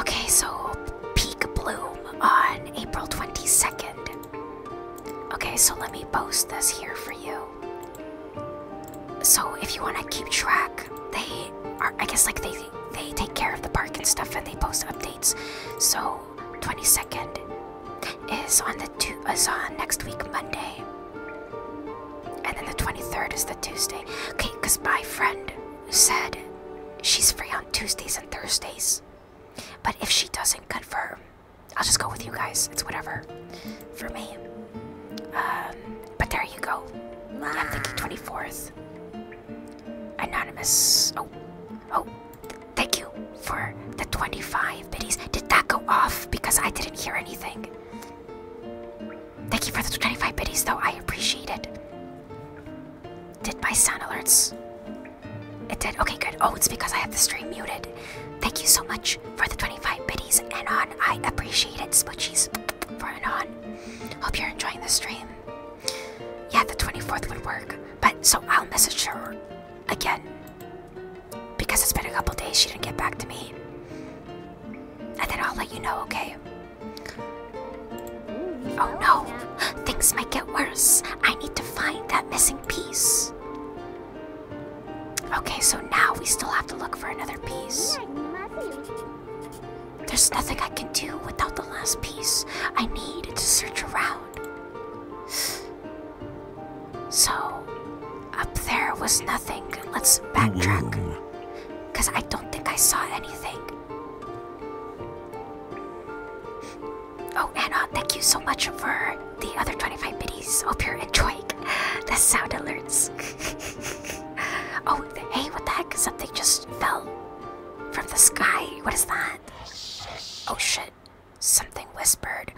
Okay, so peak bloom on April 22nd. Okay, so let me post this here for you. So if you want to keep track, they are, I guess, like they they take care of the park and stuff, and they post updates. So 22nd is on the two is on next week Monday. And then the 23rd is the Tuesday. Okay, because my friend said she's free on Tuesdays and Thursdays. But if she doesn't confirm, I'll just go with you guys. It's whatever for me. Um, but there you go. I'm thinking 24th. Anonymous. Oh, oh, thank you for the 25 biddies. Did that go off? Because I didn't hear anything. Thank you for the 25 bitties, though. I appreciate it. Did my sound alerts? It did. Okay, good. Oh, it's because I have the stream muted. Thank you so much for the 25 bitties, and on I appreciate it, Smoochies, for on. Hope you're enjoying the stream. Yeah, the 24th would work. But so I'll message her again because it's been a couple days, she didn't get back to me. And then I'll let you know, okay? Oh no! Things might get worse. I need to find that missing piece. Okay, so now we still have to look for another piece. There's nothing I can do without the last piece. I need to search around. So, up there was nothing. Let's backtrack. Because I don't think I saw anything. Oh, Anna, thank you so much for the other 25 biddies. Hope you're enjoying the sound alerts. oh, hey, what the heck? Something just fell from the sky. What is that? Oh shit. Something whispered.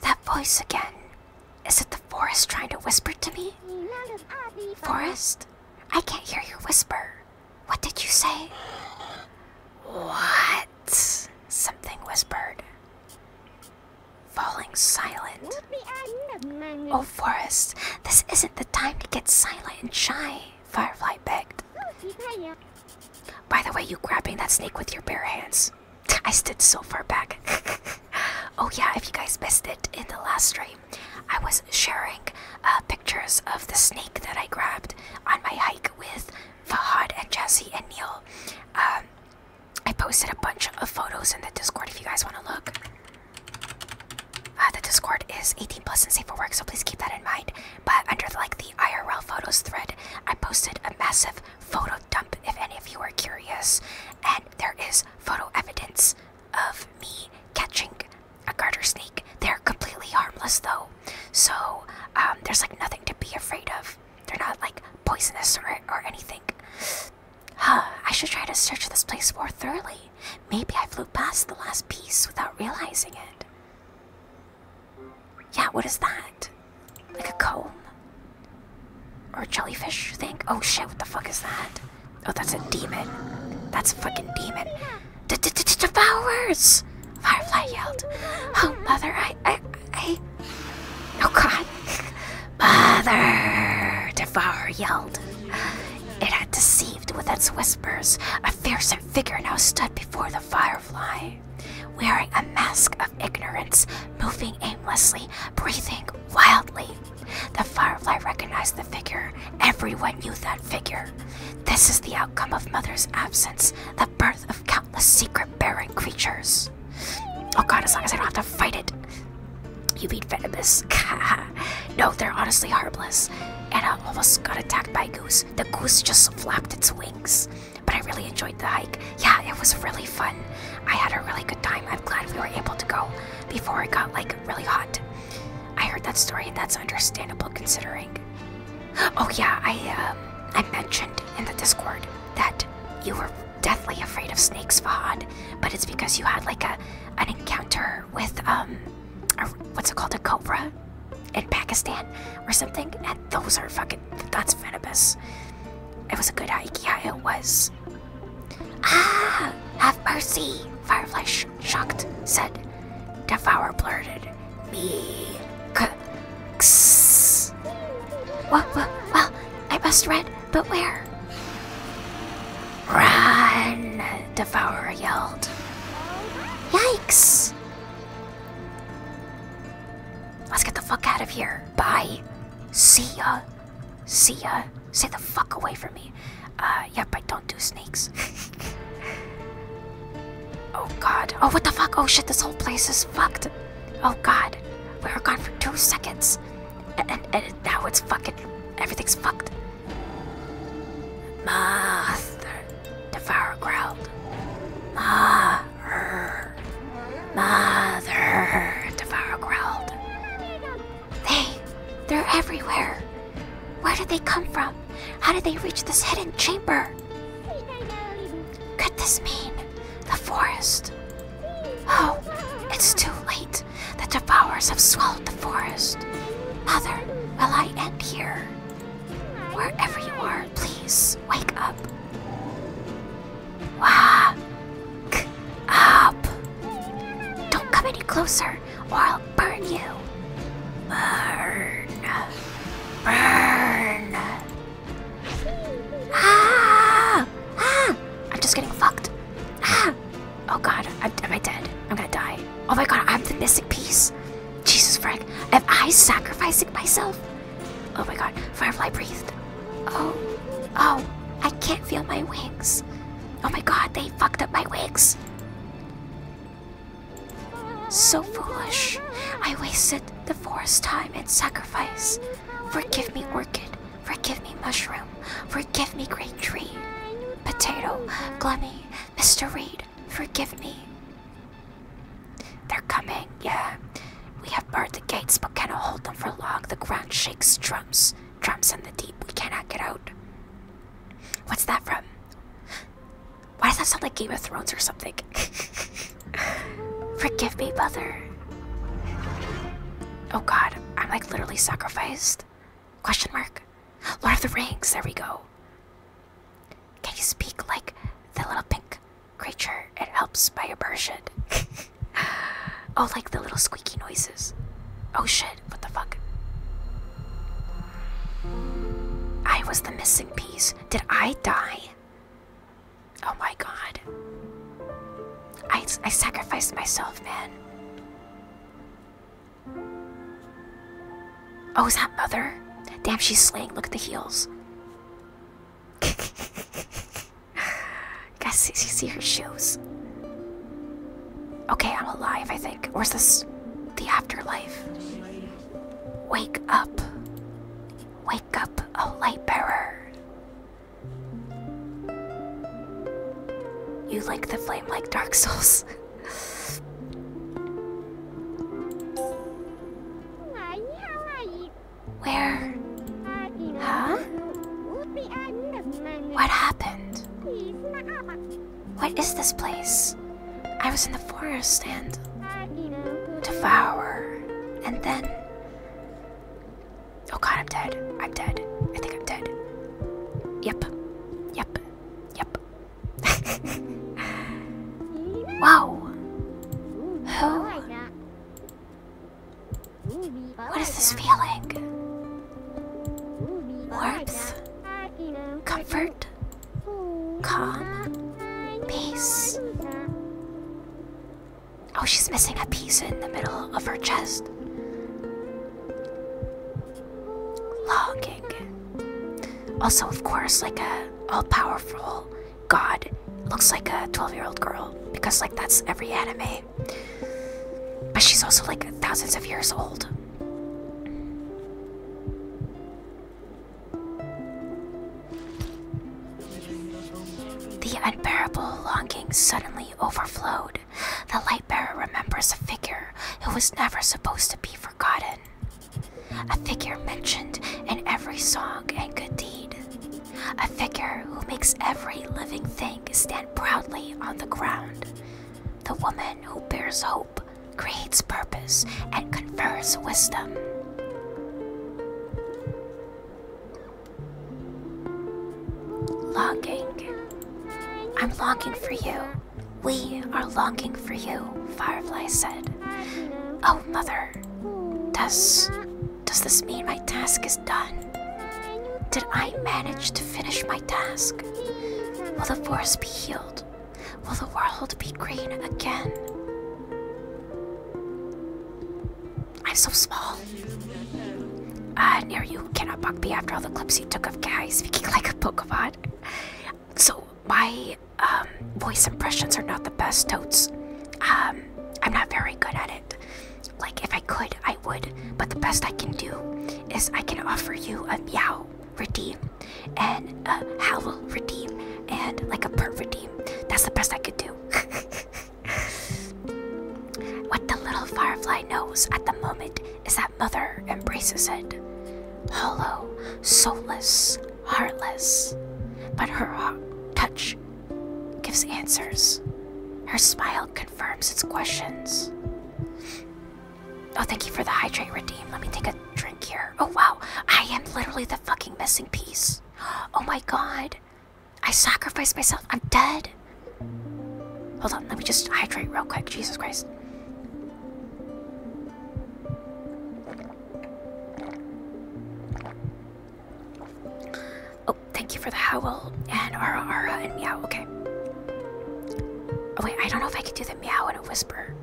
That voice again. Is it the forest trying to whisper to me? Forest? I can't hear your whisper. What did you say? What? Something whispered. Falling silent. Oh, Forest, this isn't the time to get silent and shy, Firefly begged. By the way, you grabbing that snake with your bare hands. I stood so far back. oh, yeah, if you guys missed it in the last stream, I was sharing uh, pictures of the snake that I grabbed on my hike with Fahad and Jesse and Neil. Um, I posted a bunch of photos in the Discord if you guys want to look. Uh, the Discord is 18 plus and safe for work, so please keep that in mind. But under like the IRL photos thread, I posted a massive photo dump if any of you are curious. And there is photo evidence of me catching a garter snake. They're completely harmless though, so um, there's like nothing to be afraid of. They're not like poisonous or, or anything. Huh, I should try to search this place more thoroughly. Maybe I flew past the last piece without realizing it. Yeah, what is that? Like a cone? Or a jellyfish thing? Oh shit, what the fuck is that? Oh, that's a demon. That's a fucking demon. D -d Devours! Firefly yelled. Oh, mother, I. I. I. Oh god. Mother! Devourer yelled. It had deceived with its whispers. A fearsome figure now stood before the firefly wearing a mask of ignorance, moving aimlessly, breathing wildly. The firefly recognized the figure. Everyone knew that figure. This is the outcome of Mother's absence, the birth of countless secret barren creatures. Oh god, as long as I don't have to fight it. You beat Venomous. no, they're honestly harmless. Anna almost got attacked by a goose. The goose just flapped its wings but I really enjoyed the hike. Yeah, it was really fun. I had a really good time. I'm glad we were able to go before it got like really hot. I heard that story. and That's understandable considering. Oh yeah, I um, I mentioned in the Discord that you were deathly afraid of snakes, Fahad, but it's because you had like a an encounter with um, what's it called, a cobra in Pakistan or something, and those are fucking Look, at, that's Fenibus. It was a good hike. Yeah, it was. Ah! Have mercy! Firefly, sh shocked, said. Devour blurted. Me. K kss. Well, well, well, I must run, but where? Run! Devourer yelled. Yikes! Let's get the fuck out of here. Bye. See ya. See ya. Say the fuck away from me. Uh, yep, I don't do snakes. oh god. Oh, what the fuck? Oh shit, this whole place is fucked. Oh god. We were gone for two seconds. And, now it's fucking. Everything's fucked. Moth. Devourer growled. Ma. Mother. Mother, growled. They, they're everywhere. Where did they come from? How did they reach this hidden chamber? Could this mean the forest? Oh, it's too late. The devourers have swallowed the forest. Mother, will I end here? Wherever you are, please wake up up! Don't come any closer or I'll burn you. Burn. Burn. Ah! Ah! I'm just getting fucked. Ah! Oh god, am am I dead? I'm gonna die. Oh my god, I'm the missing piece. Jesus, Frank, am I sacrificing myself? Oh my god, Firefly breathed. Oh, oh, I can't feel my wings. Oh my god, they fucked up my wings. So foolish. I wasted the forest time and sacrifice. Forgive me, orchid. Forgive me, mushroom. Forgive me, great tree. Potato, Glemmy, Mr. Reed, forgive me. They're coming, yeah. We have barred the gates but cannot hold them for long. The ground shakes drums, drums in the deep. We cannot get out. What's that from? Why does that sound like Game of Thrones or something? Forgive me, mother. Oh god, I'm like literally sacrificed. Question mark. Lord of the Rings, there we go. Can you speak like the little pink creature. It helps by immersion. oh, like the little squeaky noises. Oh shit, what the fuck? I was the missing piece. Did I die? Oh my god. I, I sacrificed myself, man. Oh, is that mother? Damn, she's slaying. Look at the heels. Guys, you see her shoes. Okay, I'm alive, I think. Or is this the afterlife? Wake up. Wake up, a light bearer. You like the flame like Dark Souls. Where? Huh? What happened? What is this place? I was in the forest and... Devour. And then... Oh god, I'm dead. I'm dead. I think I'm dead. Yep. Yep. Yep. wow. Who? What is this feeling? Warmth, comfort, calm, peace. Oh, she's missing a piece in the middle of her chest. Longing. Also, of course, like a all-powerful god looks like a 12-year-old girl because like that's every anime but she's also like thousands of years old. The unbearable longing suddenly overflowed. The light bearer remembers a figure who was never supposed to be forgotten, a figure mentioned in every song and good deed a figure who makes every living thing stand proudly on the ground. The woman who bears hope, creates purpose, and confers wisdom. Longing. I'm longing for you. We are longing for you, Firefly said. Oh, Mother, does does this mean my task is done? Did I manage to finish my task? Will the forest be healed? Will the world be green again? I'm so small. Uh, near you cannot bug me after all the clips you took of guys speaking like a Pokemon. So my um, voice impressions are not the best totes. Um, I'm not very good at it. Like, if I could, I would, but the best I can do is I can offer you a meow redeem and a howl redeem and like a purr redeem. That's the best I could do. what the little firefly knows at the moment is that mother embraces it. Hollow, soulless, heartless, but her touch gives answers. Her smile confirms its questions. Oh, thank you for the hydrate redeem. Let me take a drink here. Oh, wow. I am literally the fucking missing piece. Oh my god. I sacrificed myself. I'm dead. Hold on. Let me just hydrate real quick. Jesus Christ. Oh, thank you for the howl and ara ara and meow. Okay. Oh, wait, I don't know if I can do the meow in a whisper.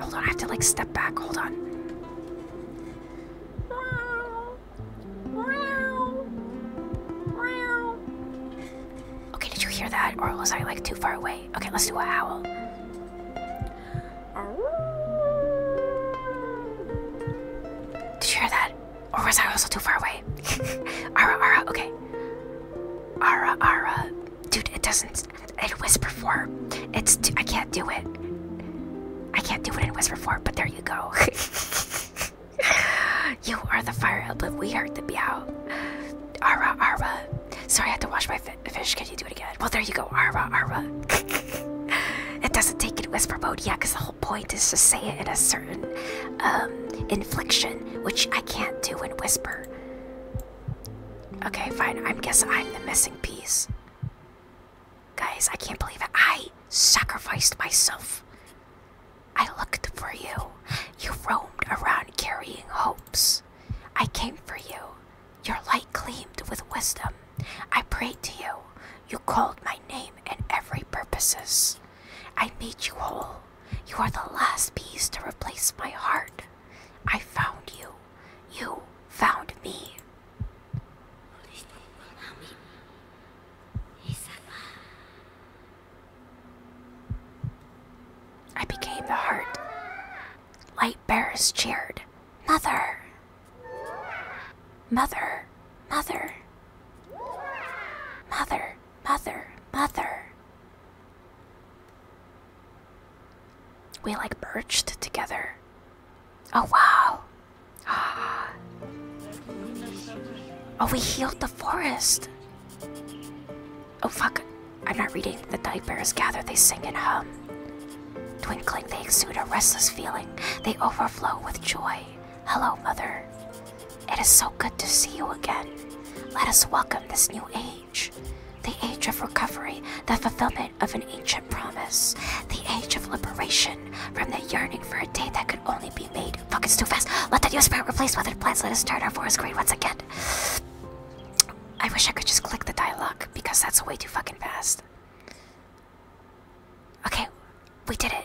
Hold on, I have to like step back. Hold on. Okay, did you hear that? Or was I like too far away? Okay, let's do a howl. Did you hear that? Or was I also too far away? Ara, Ara, okay. Ara, Ara. Dude, it doesn't. It whisper for. It's. I can't do it. I can't do it in whisper for. but there you go. you are the fire but We are the beow. Ara, Ara. Sorry, I had to wash my fish. Can you do it again? Well, there you go. Ara, Ara. it doesn't take in whisper mode. Yeah, because point is to say it in a certain um, inflection, which I can't do in Whisper. Okay, fine. I am guess I'm the missing piece. Guys, I can't believe it. I sacrificed myself. I looked for you. You roamed around carrying hopes. I came for you. Your light gleamed with wisdom. I prayed to you. You called my name in every purposes. I made you whole. You are the last piece to replace my heart. I found you. You found me. I became the heart. Light bearers cheered. Mother! Mother! Mother! Mother, mother, mother. We like birched together. Oh wow. Ah. Oh, we healed the forest. Oh fuck. I'm not reading. The night bears gather, they sing and hum. Twinkling, they exude a restless feeling. They overflow with joy. Hello, Mother. It is so good to see you again. Let us welcome this new age the age of recovery, the fulfillment of an ancient promise, the age of liberation from the yearning for a day that could only be made. Fuck, it's too fast. Let the new spirit replace weathered plants. Let us turn our forest green once again. I wish I could just click the dialogue because that's way too fucking fast. Okay, we did it.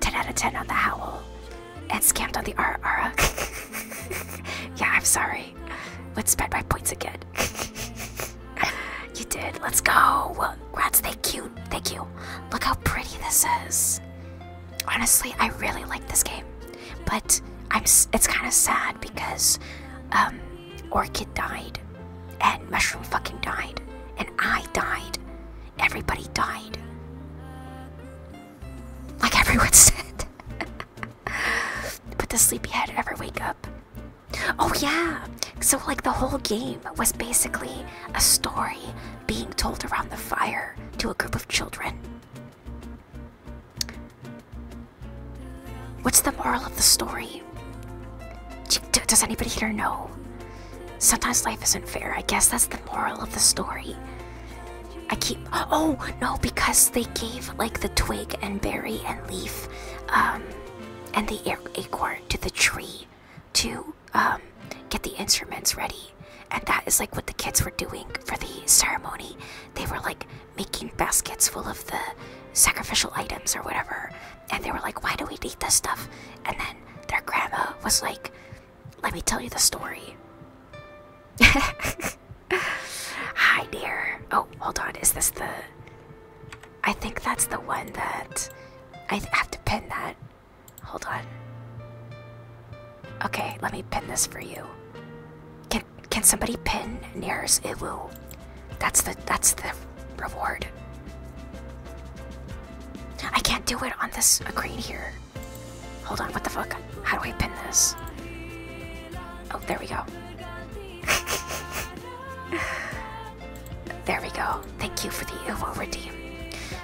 10 out of 10 on the Howl. And scammed on the Ara yeah, I'm sorry. Let's spend my points again. you did. Let's go. Rats, thank cute. Thank you. Look how pretty this is. Honestly, I really like this game. But I'm, it's kind of sad because um, Orchid died. And Mushroom fucking died. And I died. Everybody died. Like everyone said. but the sleepyhead ever wake up? Oh, yeah. So, like, the whole game was basically a story being told around the fire to a group of children. What's the moral of the story? Does anybody here know? Sometimes life isn't fair. I guess that's the moral of the story. I keep oh no because they gave like the twig and berry and leaf um and the acorn to the tree to um get the instruments ready and that is like what the kids were doing for the ceremony they were like making baskets full of the sacrificial items or whatever and they were like why do we need this stuff and then their grandma was like let me tell you the story. Hi, dear. Oh, hold on. Is this the. I think that's the one that. I have to pin that. Hold on. Okay, let me pin this for you. Can can somebody pin nearest Iwu? That's the that's the reward. I can't do it on this screen here. Hold on, what the fuck? How do I pin this? Oh, there we go. there we go. Thank you for the Uvo redeem.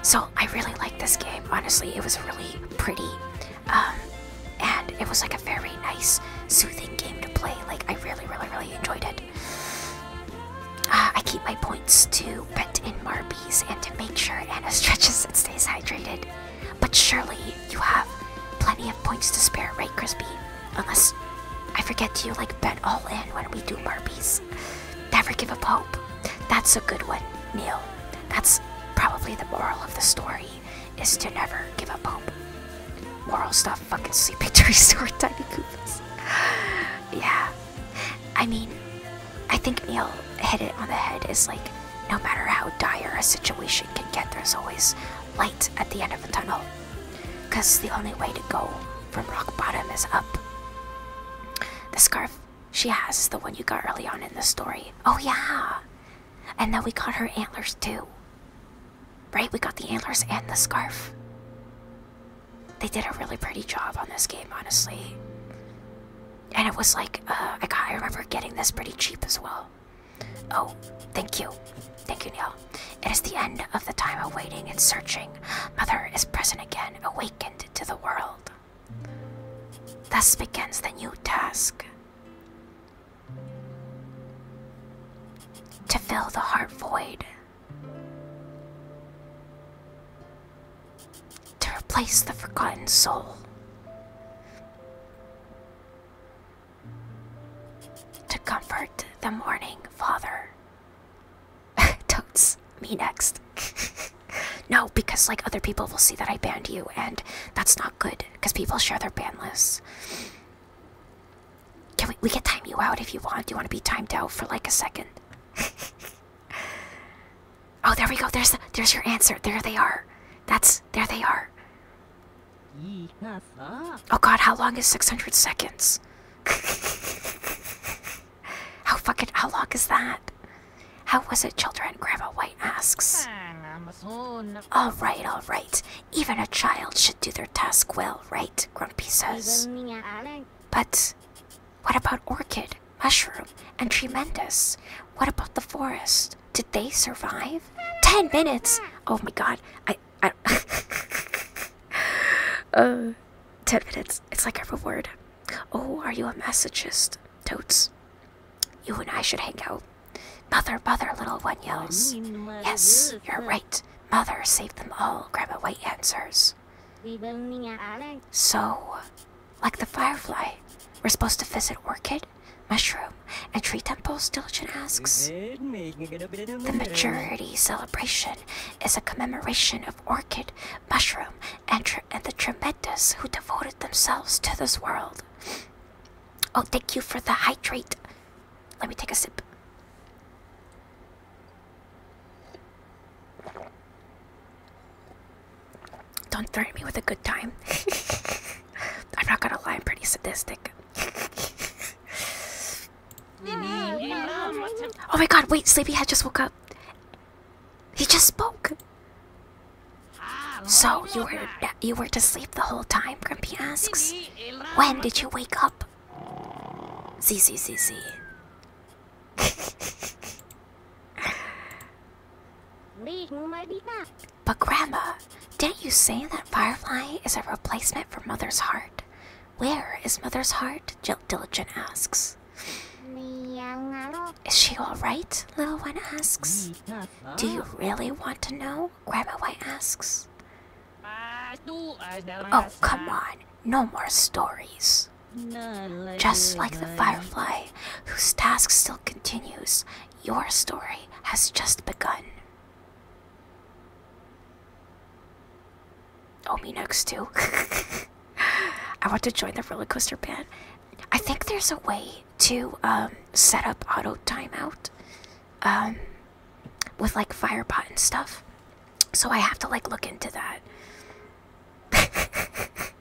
So I really like this game. Honestly, it was really pretty. Um, and it was like a very nice, soothing game to play. Like I really, really, really enjoyed it. Uh, I keep my points to bet in Marbies and to make sure Anna stretches and stays hydrated. But surely you have plenty of points to spare, right, Crispy? Unless I forget you like bet all in when we do burpees. Never give up hope. That's a good one, Neil. That's probably the moral of the story is to never give up hope. Moral stuff, fucking sleeping trees or tiny Koopas. yeah. I mean, I think Neil hit it on the head is like no matter how dire a situation can get, there's always light at the end of a tunnel. Because the only way to go from rock bottom is up. The scarf she has is the one you got early on in the story. Oh, yeah! And then we got her antlers too. Right? We got the antlers and the scarf. They did a really pretty job on this game, honestly and it was uh, like I remember getting this pretty cheap as well. Oh, thank you, thank you, Neil. It is the end of the time of waiting and searching. Mother is present again, awakened to the world. Thus begins the new task. To fill the heart void to replace the forgotten soul. To comfort the mourning father. Totes, me next. no, because like other people will see that I banned you, and that's not good, because people share their ban lists. Can we, we can time you out if you want. you want to be timed out for like a second? Oh, there we go. There's there's your answer. There they are. That's there they are. Oh God, how long is 600 seconds? how fuck it. how long is that? How was it, children? Grandma White asks. All right, all right. Even a child should do their task well, right? Grumpy says. But what about Orchid? mushroom, and tremendous. What about the forest? Did they survive? Ten minutes! Oh my god, I. I uh, ten minutes. It's like a reward. Oh, are you a masochist? Totes. You and I should hang out. Mother, mother, little one yells. Yes, you're right. Mother, save them all, Grandma White answers. So, like the firefly, we're supposed to visit orchid, mushroom, and tree temples, Diligent asks. The majority celebration is a commemoration of orchid, mushroom, and, and the tremendous who devoted themselves to this world. Oh, thank you for the hydrate. Let me take a sip. Don't threaten me with a good time. I'm not gonna lie, I'm pretty sadistic. oh my god, wait, Sleepyhead just woke up. He just spoke. So you were you were to sleep the whole time, Grumpy asks. When did you wake up? Z Z Z Z. But Grandma, didn't you say that Firefly is a replacement for Mother's Heart? Where is Mother's Heart? Jill Diligent asks. Is she alright? Little One asks. Do you really want to know? Grandma White asks. Oh, come on. No more stories. Just like the firefly, whose task still continues, your story has just begun. Oh, me next too. I want to join the roller coaster band. I think there's a way to um, set up auto timeout um, with like Firepot and stuff. So I have to like look into that.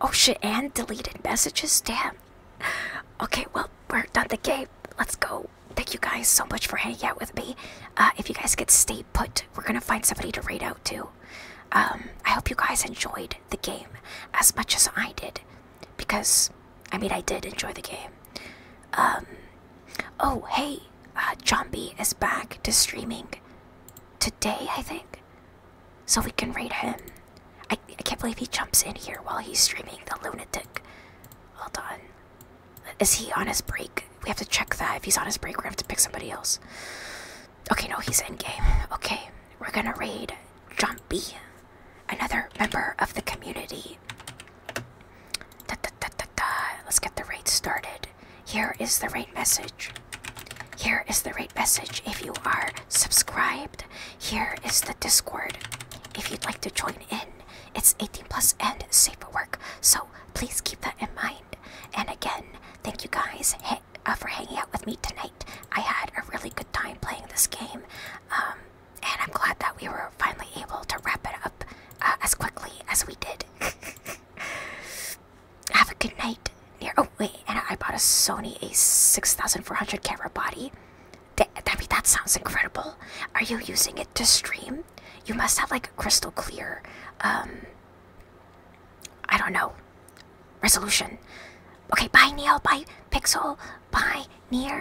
oh shit, and deleted messages? Damn. Okay, well, we're done the game. Let's go. Thank you guys so much for hanging out with me. Uh, if you guys get stay put, we're gonna find somebody to raid out to. Um, I hope you guys enjoyed the game as much as I did. Because, I mean, I did enjoy the game. Um, oh, hey, uh, is back to streaming today, I think so we can raid him. I, I can't believe he jumps in here while he's streaming the lunatic. Hold on. Is he on his break? We have to check that. If he's on his break, we have to pick somebody else. Okay, no, he's in game. Okay, we're gonna raid Jumpy, another member of the community. Da, da, da, da, da. Let's get the raid started. Here is the raid message. Here is the raid message if you are subscribed. Here is the Discord if you'd like to join in. It's 18 plus and safe for work, so please keep that in mind. And again, thank you guys uh, for hanging out with me tonight. I had a really good time playing this game, um, and I'm glad that we were finally able to wrap it up uh, as quickly as we did. Have a good night. Near oh wait, and I bought a Sony a6400 camera body. That, I mean, that sounds incredible. Are you using it to stream? You must have like crystal clear, um, I don't know, resolution. Okay, bye Neil, bye Pixel, bye Neil.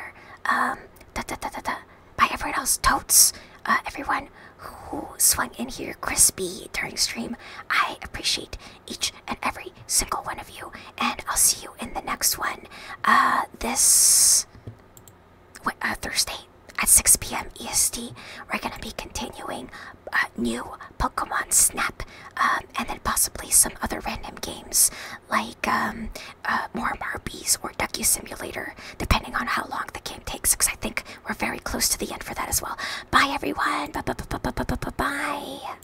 um, da da da da da, bye everyone else, totes, uh, everyone who swung in here crispy turning stream. I appreciate each and every single one of you, and I'll see you in the next one. Uh, this uh, Thursday at 6 p.m. EST, we're gonna be continuing uh, new Pokemon Snap, um, and then possibly some other random games like um, uh, more Barbies or Ducky Simulator, depending on how long the game takes. Because I think we're very close to the end for that as well. Bye everyone. Bye bye bye bye bye bye. bye.